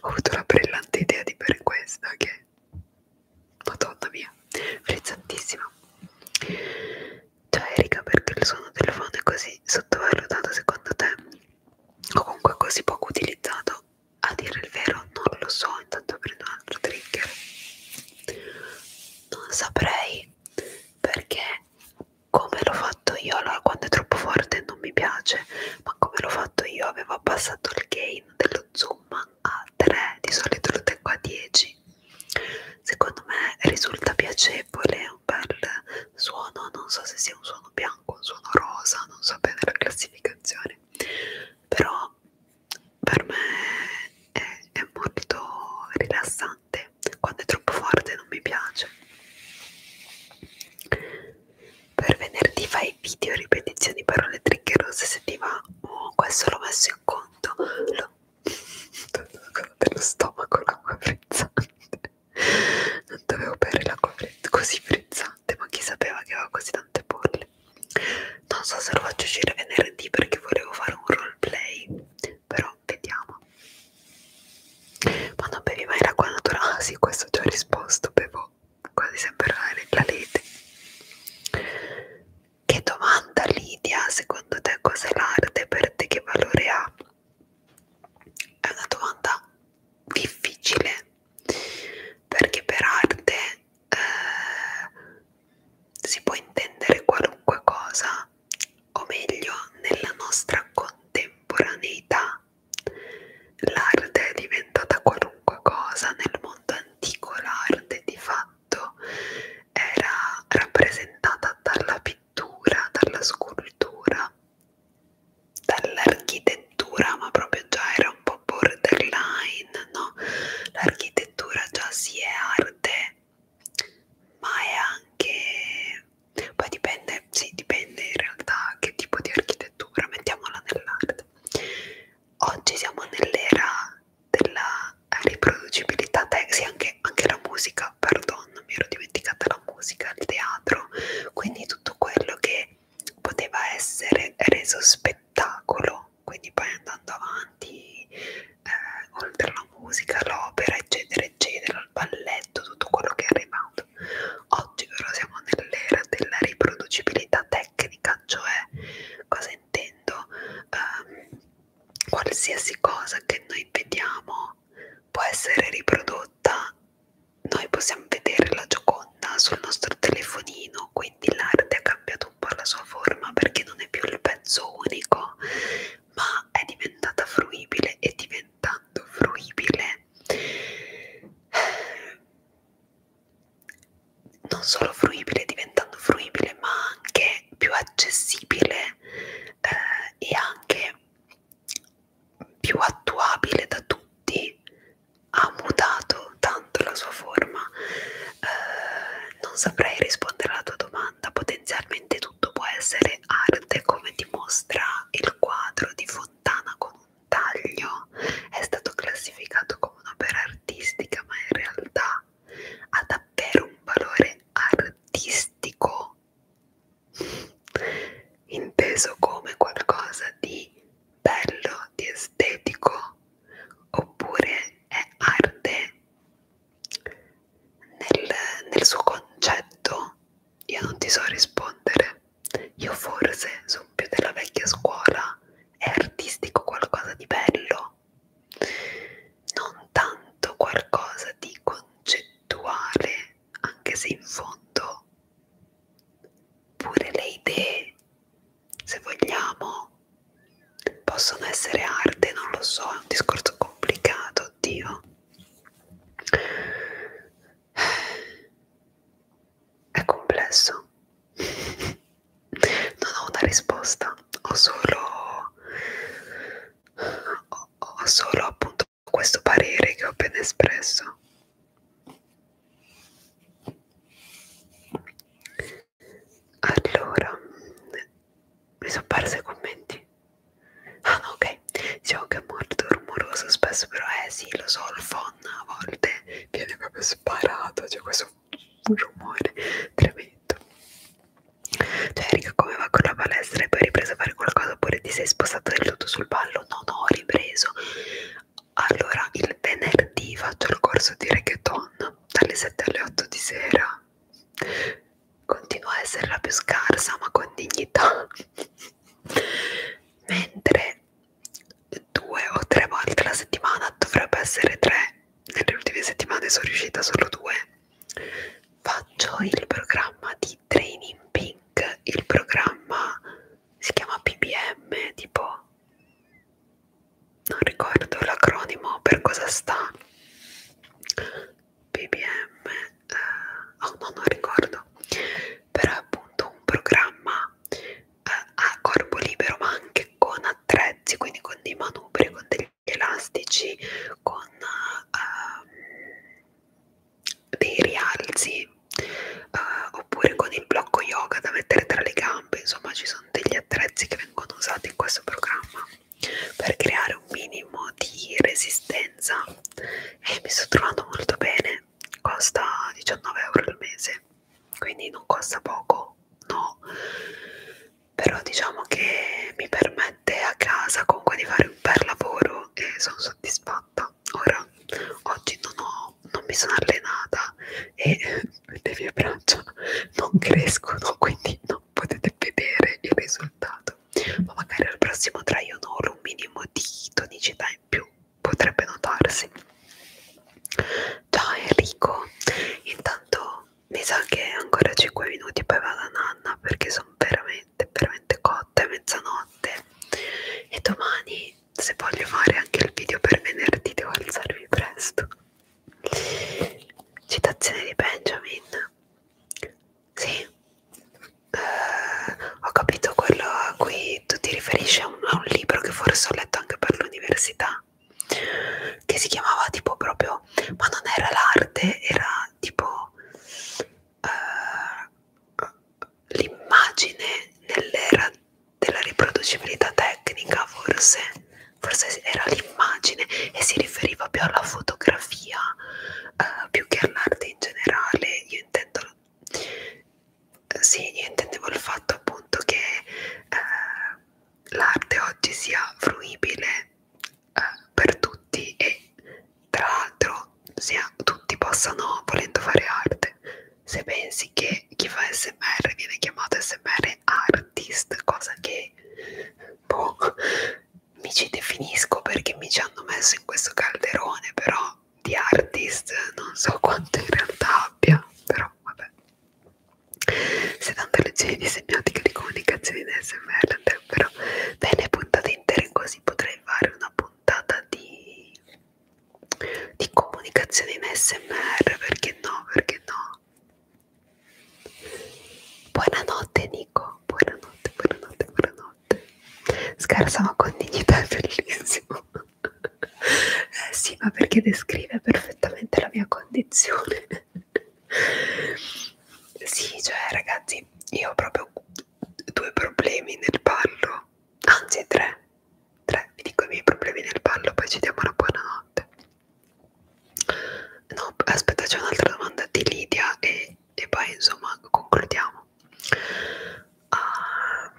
Speaker 1: ho avuto la brillante idea di bere questa che madonna mia frizzantissima cioè Erika perché il suono del phone è così sottovalutato secondo te o comunque così poco utilizzato a dire il vero non lo so intanto prendo un altro trigger non saprei perché come l'ho fatto io allora quando è troppo forte non mi piace ma come l'ho fatto io avevo abbassato il gain dello zoom a 3, di solito lo tengo a 10. Secondo me risulta piacevole, è un bel suono, non so se sia un suono bianco, un suono rosa, non so bene la classificazione, però per me è, è molto rilassante, quando è troppo forte non mi piace. Per venerdì fai video, ripetizioni, parole triggerose ti va oh, questo l'ho messo in conto lo... dello stomaco l'acqua frizzante non dovevo bere l'acqua frizzante, così frizzante ma chi sapeva che aveva così tante bolle non so se lo faccio uscire venerdì perché volevo fare un roleplay però vediamo ma non bevi mai l'acqua naturale? Ah, sì, questo ho già risposto. Bevo tipo quasi sempre la lite. Che domanda Lidia, secondo te cos'è l'arte? Per te che valore ha? È una domanda difficile perché per arte eh, si può intendere qualunque cosa, o meglio, nella nostra contemporaneità l'arte è diventata qualunque cosa nel mondo l'antico l'arte di fatto era rappresentata dalla pittura, dalla scultura, dall'architettura, ma proprio già era un po' borderline, no? L'architettura già si è arte, ma è anche... poi dipende, sì, dipende in realtà che tipo di architettura, mettiamola nell'arte oggi siamo nell'era della riproducibilità sì, anche, anche la musica, perdon, mi ero dimenticata la musica, il teatro, quindi tutto quello che poteva essere reso spettacolo, quindi poi andando avanti, eh, oltre alla musica, l'opera, eccetera, eccetera, il balletto, tutto quello che è arrivato. Oggi però siamo nell'era della riproducibilità tecnica, cioè cose intendo um, qualsiasi cosa che noi vediamo può essere riprodotta noi possiamo vedere la Gioconda sul nostro telefonino quindi l'arte ha cambiato un po' la sua forma perché non è più il pezzo unico ma è diventata fruibile e diventando fruibile non solo fruibile diventando fruibile ma anche più accessibile eh, e anche più attuabile da tutti ha mutato tanto la sua forma eh, non saprei rispondere alla tua domanda potenzialmente tutto può essere arte come dimostra il quadro di Fontana con un taglio è stato classificato come un'opera artistica, ma in realtà ha davvero un valore artistico, inteso come qualcosa di bello, di estetico, oppure è arte nel, nel suo concetto. Io non ti so rispondere. Io forse sono più della vecchia scuola è artistico qualcosa di bello, non tanto qualcosa di concettuale, anche se in fondo pure le idee, se vogliamo, possono essere arte, non lo so, è un discorso complicato, oddio. È complesso. Non ho una risposta, ho solo, ho, ho solo appunto questo parere che ho appena espresso. Allora, mi sono persa i commenti. Ah no, ok, diciamo che è molto rumoroso spesso, però eh sì, lo so, il phon a volte viene proprio sparato, cioè questo un rumore tremendo cioè Erika come va con la palestra e poi hai ripreso a fare qualcosa oppure ti sei spostato del tutto sul ballo? no no ho ripreso allora il venerdì faccio il corso di reggaeton dalle 7 alle 8 di sera continua a essere la più scarsa ma con dignità mentre due o tre volte la settimana, dovrebbe essere tre, nelle ultime settimane sono riuscita solo due. Faccio il programma di Training Pink, il programma si chiama PBM, tipo non ricordo l'acronimo per cosa sta. PBM, eh, oh no, non ricordo, però è appunto un programma eh, a corpo libero ma anche con attrezzi quindi con dei manubri con degli elastici con uh, dei rialzi uh, oppure con il blocco yoga da mettere tra le gambe insomma ci sono degli attrezzi che vengono usati in questo programma per creare un minimo di resistenza e mi sto trovando molto bene costa 19 euro al mese quindi non costa poco no però diciamo che mi permette a casa comunque di fare un bel lavoro e sono soddisfatta ora oggi non, ho, non mi sono allenata e le mie braccia non crescono quindi non potete vedere il risultato ma magari al prossimo try on un minimo di tonicità in più potrebbe notarsi Ciao Enrico, intanto mi sa che ancora 5 minuti poi va la nanna perché sono veramente, veramente cotta, è mezzanotte e domani se voglio fare anche il video per venerdì devo alzarmi presto. Citazione di Benjamin. Sì, uh, ho capito quello a cui tu ti riferisci a un, a un libro che forse ho letto anche per l'università che si chiamava tipo proprio ma non era l'arte era tipo uh, l'immagine nell'era della riproducibilità tecnica forse forse era l'immagine e si riferiva più alla fotografia uh, più che all'arte in generale io intendo sì io intendevo il fatto appunto che uh, l'arte oggi sia fruibile eh, per tutti e tra l'altro sia tutti possano volendo fare arte se pensi che chi fa smr viene chiamato smr artist cosa che boh, mi ci definisco perché mi ci hanno messo in questo calderone però di artist non so quanto in realtà abbia però vabbè 70 lezioni di semiotica di comunicazione in SMR andrebbero bene puntate intere, così potrei fare una puntata di, di comunicazione in SMR, perché no, perché no? Buonanotte Nico, buonanotte, buonanotte, buonanotte. Scarsa ma con dignità è bellissimo eh sì, ma perché descrive perfettamente la mia condizione. sì, cioè ragazzi, io ho proprio due problemi nel ballo, anzi tre. Tre, vi dico i miei problemi nel ballo, poi ci diamo una buonanotte. No, aspetta, c'è un'altra domanda di Lidia e, e poi insomma concludiamo. Uh,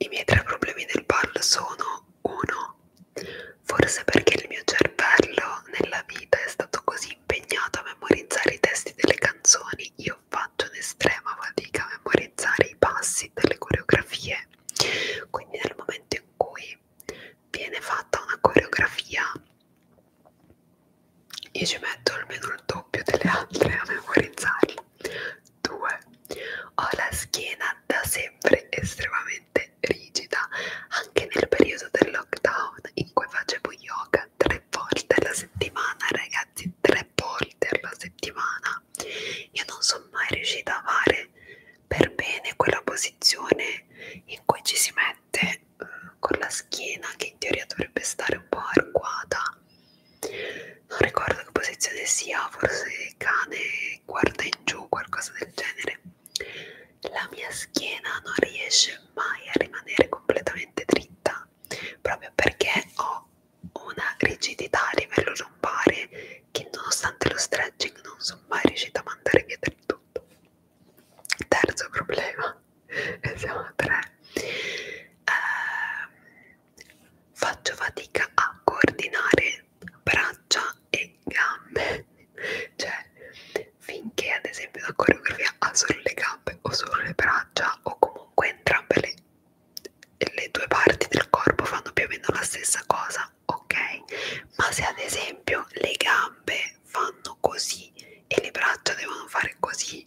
Speaker 1: i miei tre problemi del ballo sono uno, forse perché il mio cervello nella vita è stato così impegnato a memorizzare i testi delle canzoni, io faccio un'estrema fatica a memorizzare i passi delle coreografie. Quindi nel momento in cui viene fatta una coreografia, io ci metto almeno il doppio delle altre a memorizzarla. 2. Ho la schiena da sempre estremamente rigida, anche nel periodo del lockdown in cui facevo yoga tre volte alla settimana, ragazzi, tre volte alla settimana. Io non sono mai riuscita a fare per bene quella posizione in cui ci si mette uh, con la schiena che in teoria dovrebbe stare un po' arcuata. Non ricordo che posizione sia, forse cane e guarda in giù, qualcosa del genere. La mia schiena non riesce mai a rimanere completamente dritta proprio perché ho una rigidità a livello lombare che nonostante lo stretching non sono mai riuscita a mandare via del tutto. Terzo problema, e siamo a tre. Eh, faccio fatica a coordinare braccia e gambe cioè finché ad esempio la coreografia ha solo le gambe o solo le braccia o comunque entrambe le, le due parti del corpo fanno più o meno la stessa cosa ok ma se ad esempio le gambe fanno così e le braccia devono fare così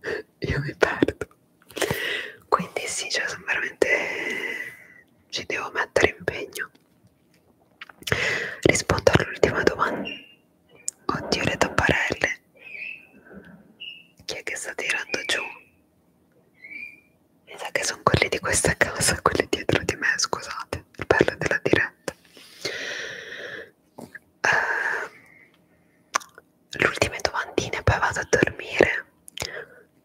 Speaker 1: io mi perdo quindi sì cioè sono veramente ci devo mettere impegno. Rispondo all'ultima domanda. Oddio le tapparelle. Chi è che sta tirando giù? Mi sa che sono quelli di questa casa, quelli dietro di me, scusate, il bello della diretta. Uh, le ultime domandine, poi vado a dormire.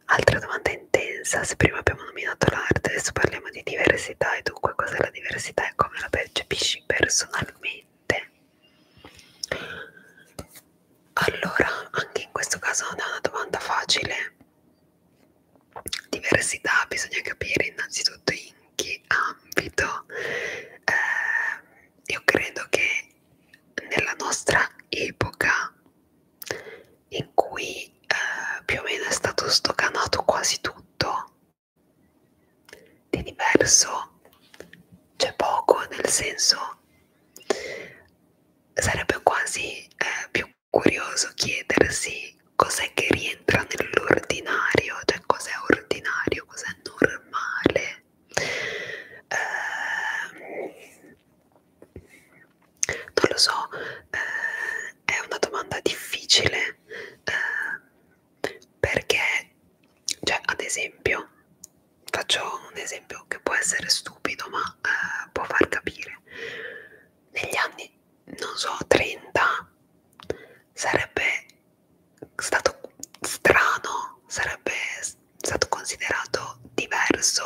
Speaker 1: Altra domanda intensa, se prima abbiamo nominato l'arte, adesso parliamo di diversità e dunque cos'è la diversità e come la percepisci personalmente. Allora, anche in questo caso non è una domanda facile. Diversità, bisogna capire innanzitutto in che ambito. Eh, io credo che nella nostra epoca in cui eh, più o meno è stato stocanato quasi tutto di diverso c'è poco nel senso sarebbe quasi eh, più curioso chiedersi cos'è che rientra nell'ordinario cioè cos'è ordinario cos'è normale eh, non lo so, eh, è una domanda difficile eh, perché, cioè, ad esempio, faccio un esempio che può essere stupido ma eh, può far capire, negli anni, non so, 30 sarebbe stato strano, sarebbe stato considerato diverso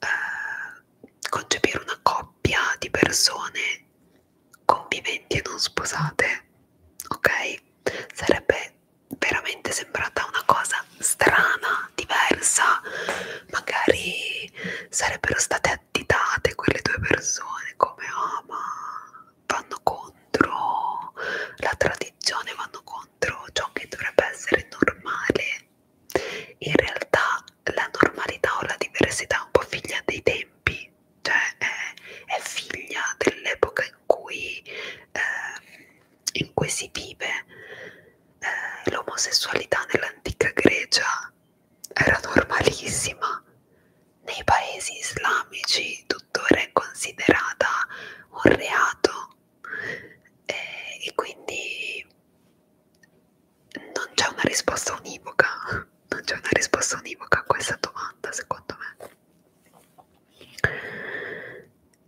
Speaker 1: eh, concepire una coppia di persone conviventi e non sposate, ok? Sarebbe veramente sembrata una cosa strana, diversa, magari sarebbero state additate quelle due persone come ah oh, ma vanno contro la tradizione, vanno contro ciò che dovrebbe essere normale in realtà la normalità o la diversità è un po' figlia dei tempi, cioè è, è figlia dell'epoca in cui eh, in cui si vive eh, l'omosessualità nell'antica Grecia era normalissima nei paesi islamici tuttora è considerata un reato e, eh, e quindi non c'è una risposta univoca, non c'è una risposta univoca a questa domanda secondo me.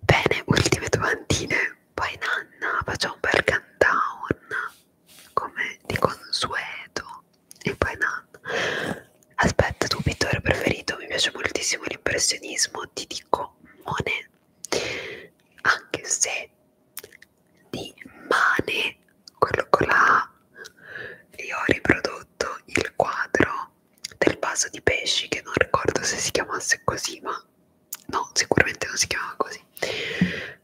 Speaker 1: Bene, ultime domandine, poi Nanna facciamo un bel countdown come di consueto e poi Nanna. Aspetta, tuo pittore preferito, mi piace moltissimo l'impressionismo, ti dico Monet, anche se di Mane, quello con la A, e ho riprodotto il quadro del vaso di pesci che non ricordo se si chiamasse così, ma no, sicuramente non si chiamava così. Eh,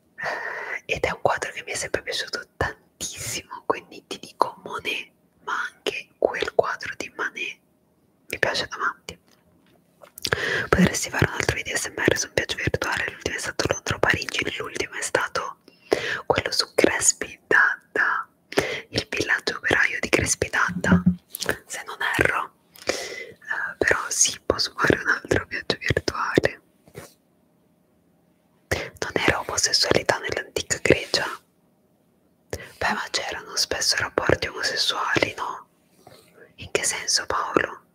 Speaker 1: ed è un quadro che mi è sempre piaciuto tantissimo, quindi ti dico Monet, ma anche quel quadro di Manet mi piace davanti potresti fare un altro video smr su un viaggio virtuale l'ultimo è stato Londra o Parigi l'ultimo è stato quello su Crespi Danda il villaggio operaio di Crespi Danda se non erro uh, però sì posso fare un altro viaggio virtuale non era omosessualità nell'antica Grecia? Beh, ma c'erano spesso rapporti omosessuali, no? In che senso, Paolo?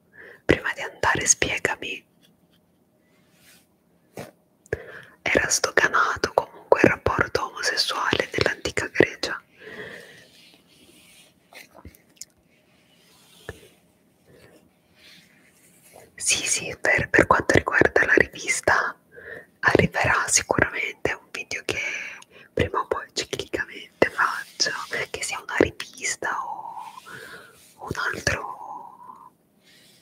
Speaker 1: Prima di andare spiegami. Era stocanato comunque il rapporto omosessuale dell'antica Grecia. Sì, sì, per, per quanto riguarda la rivista arriverà sicuramente un video che prima o poi ciclicamente normalmente faccio, che sia una rivista o un altro,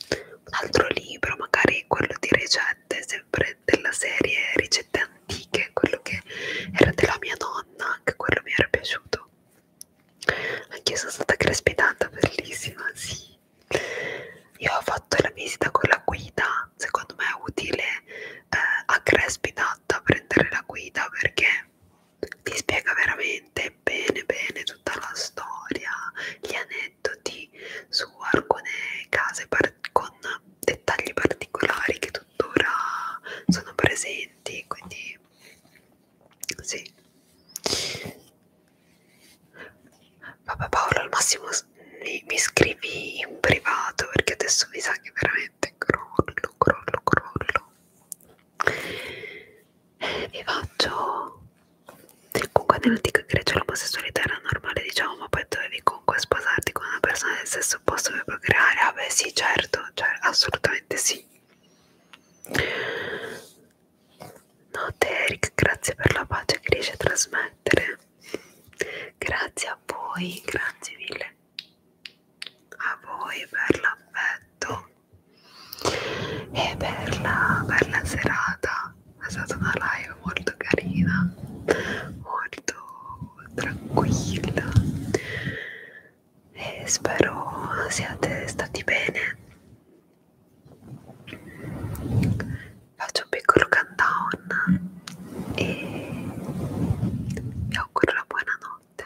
Speaker 1: un altro libro, magari quello di ricette, sempre della serie ricette antiche, quello che era della mia nonna, anche quello mi era piaciuto. Anch'io sono stata crespitata, bellissima, sì. Io ho fatto la visita con la guida, secondo me è utile eh, a Crespitata prendere la guida perché ti spiega veramente bene bene tutta la storia, gli aneddoti su alcune case con dettagli particolari che tuttora sono presenti, quindi sì. Vabbè Paolo, al massimo mi, mi scrivi in privato perché adesso mi sa che veramente crollo, crollo, crollo vi faccio comunque nell'antica Grecia l'omosessualità era normale diciamo ma poi dovevi comunque sposarti con una persona del stesso opposto per procreare ah beh sì certo cioè, assolutamente sì notte Eric grazie per la pace che riesci a trasmettere grazie a voi grazie mille a voi per l'affetto e per la, per la serata è stata una live molto carina molto tranquilla e spero siate stati bene faccio un piccolo countdown e vi auguro una buona notte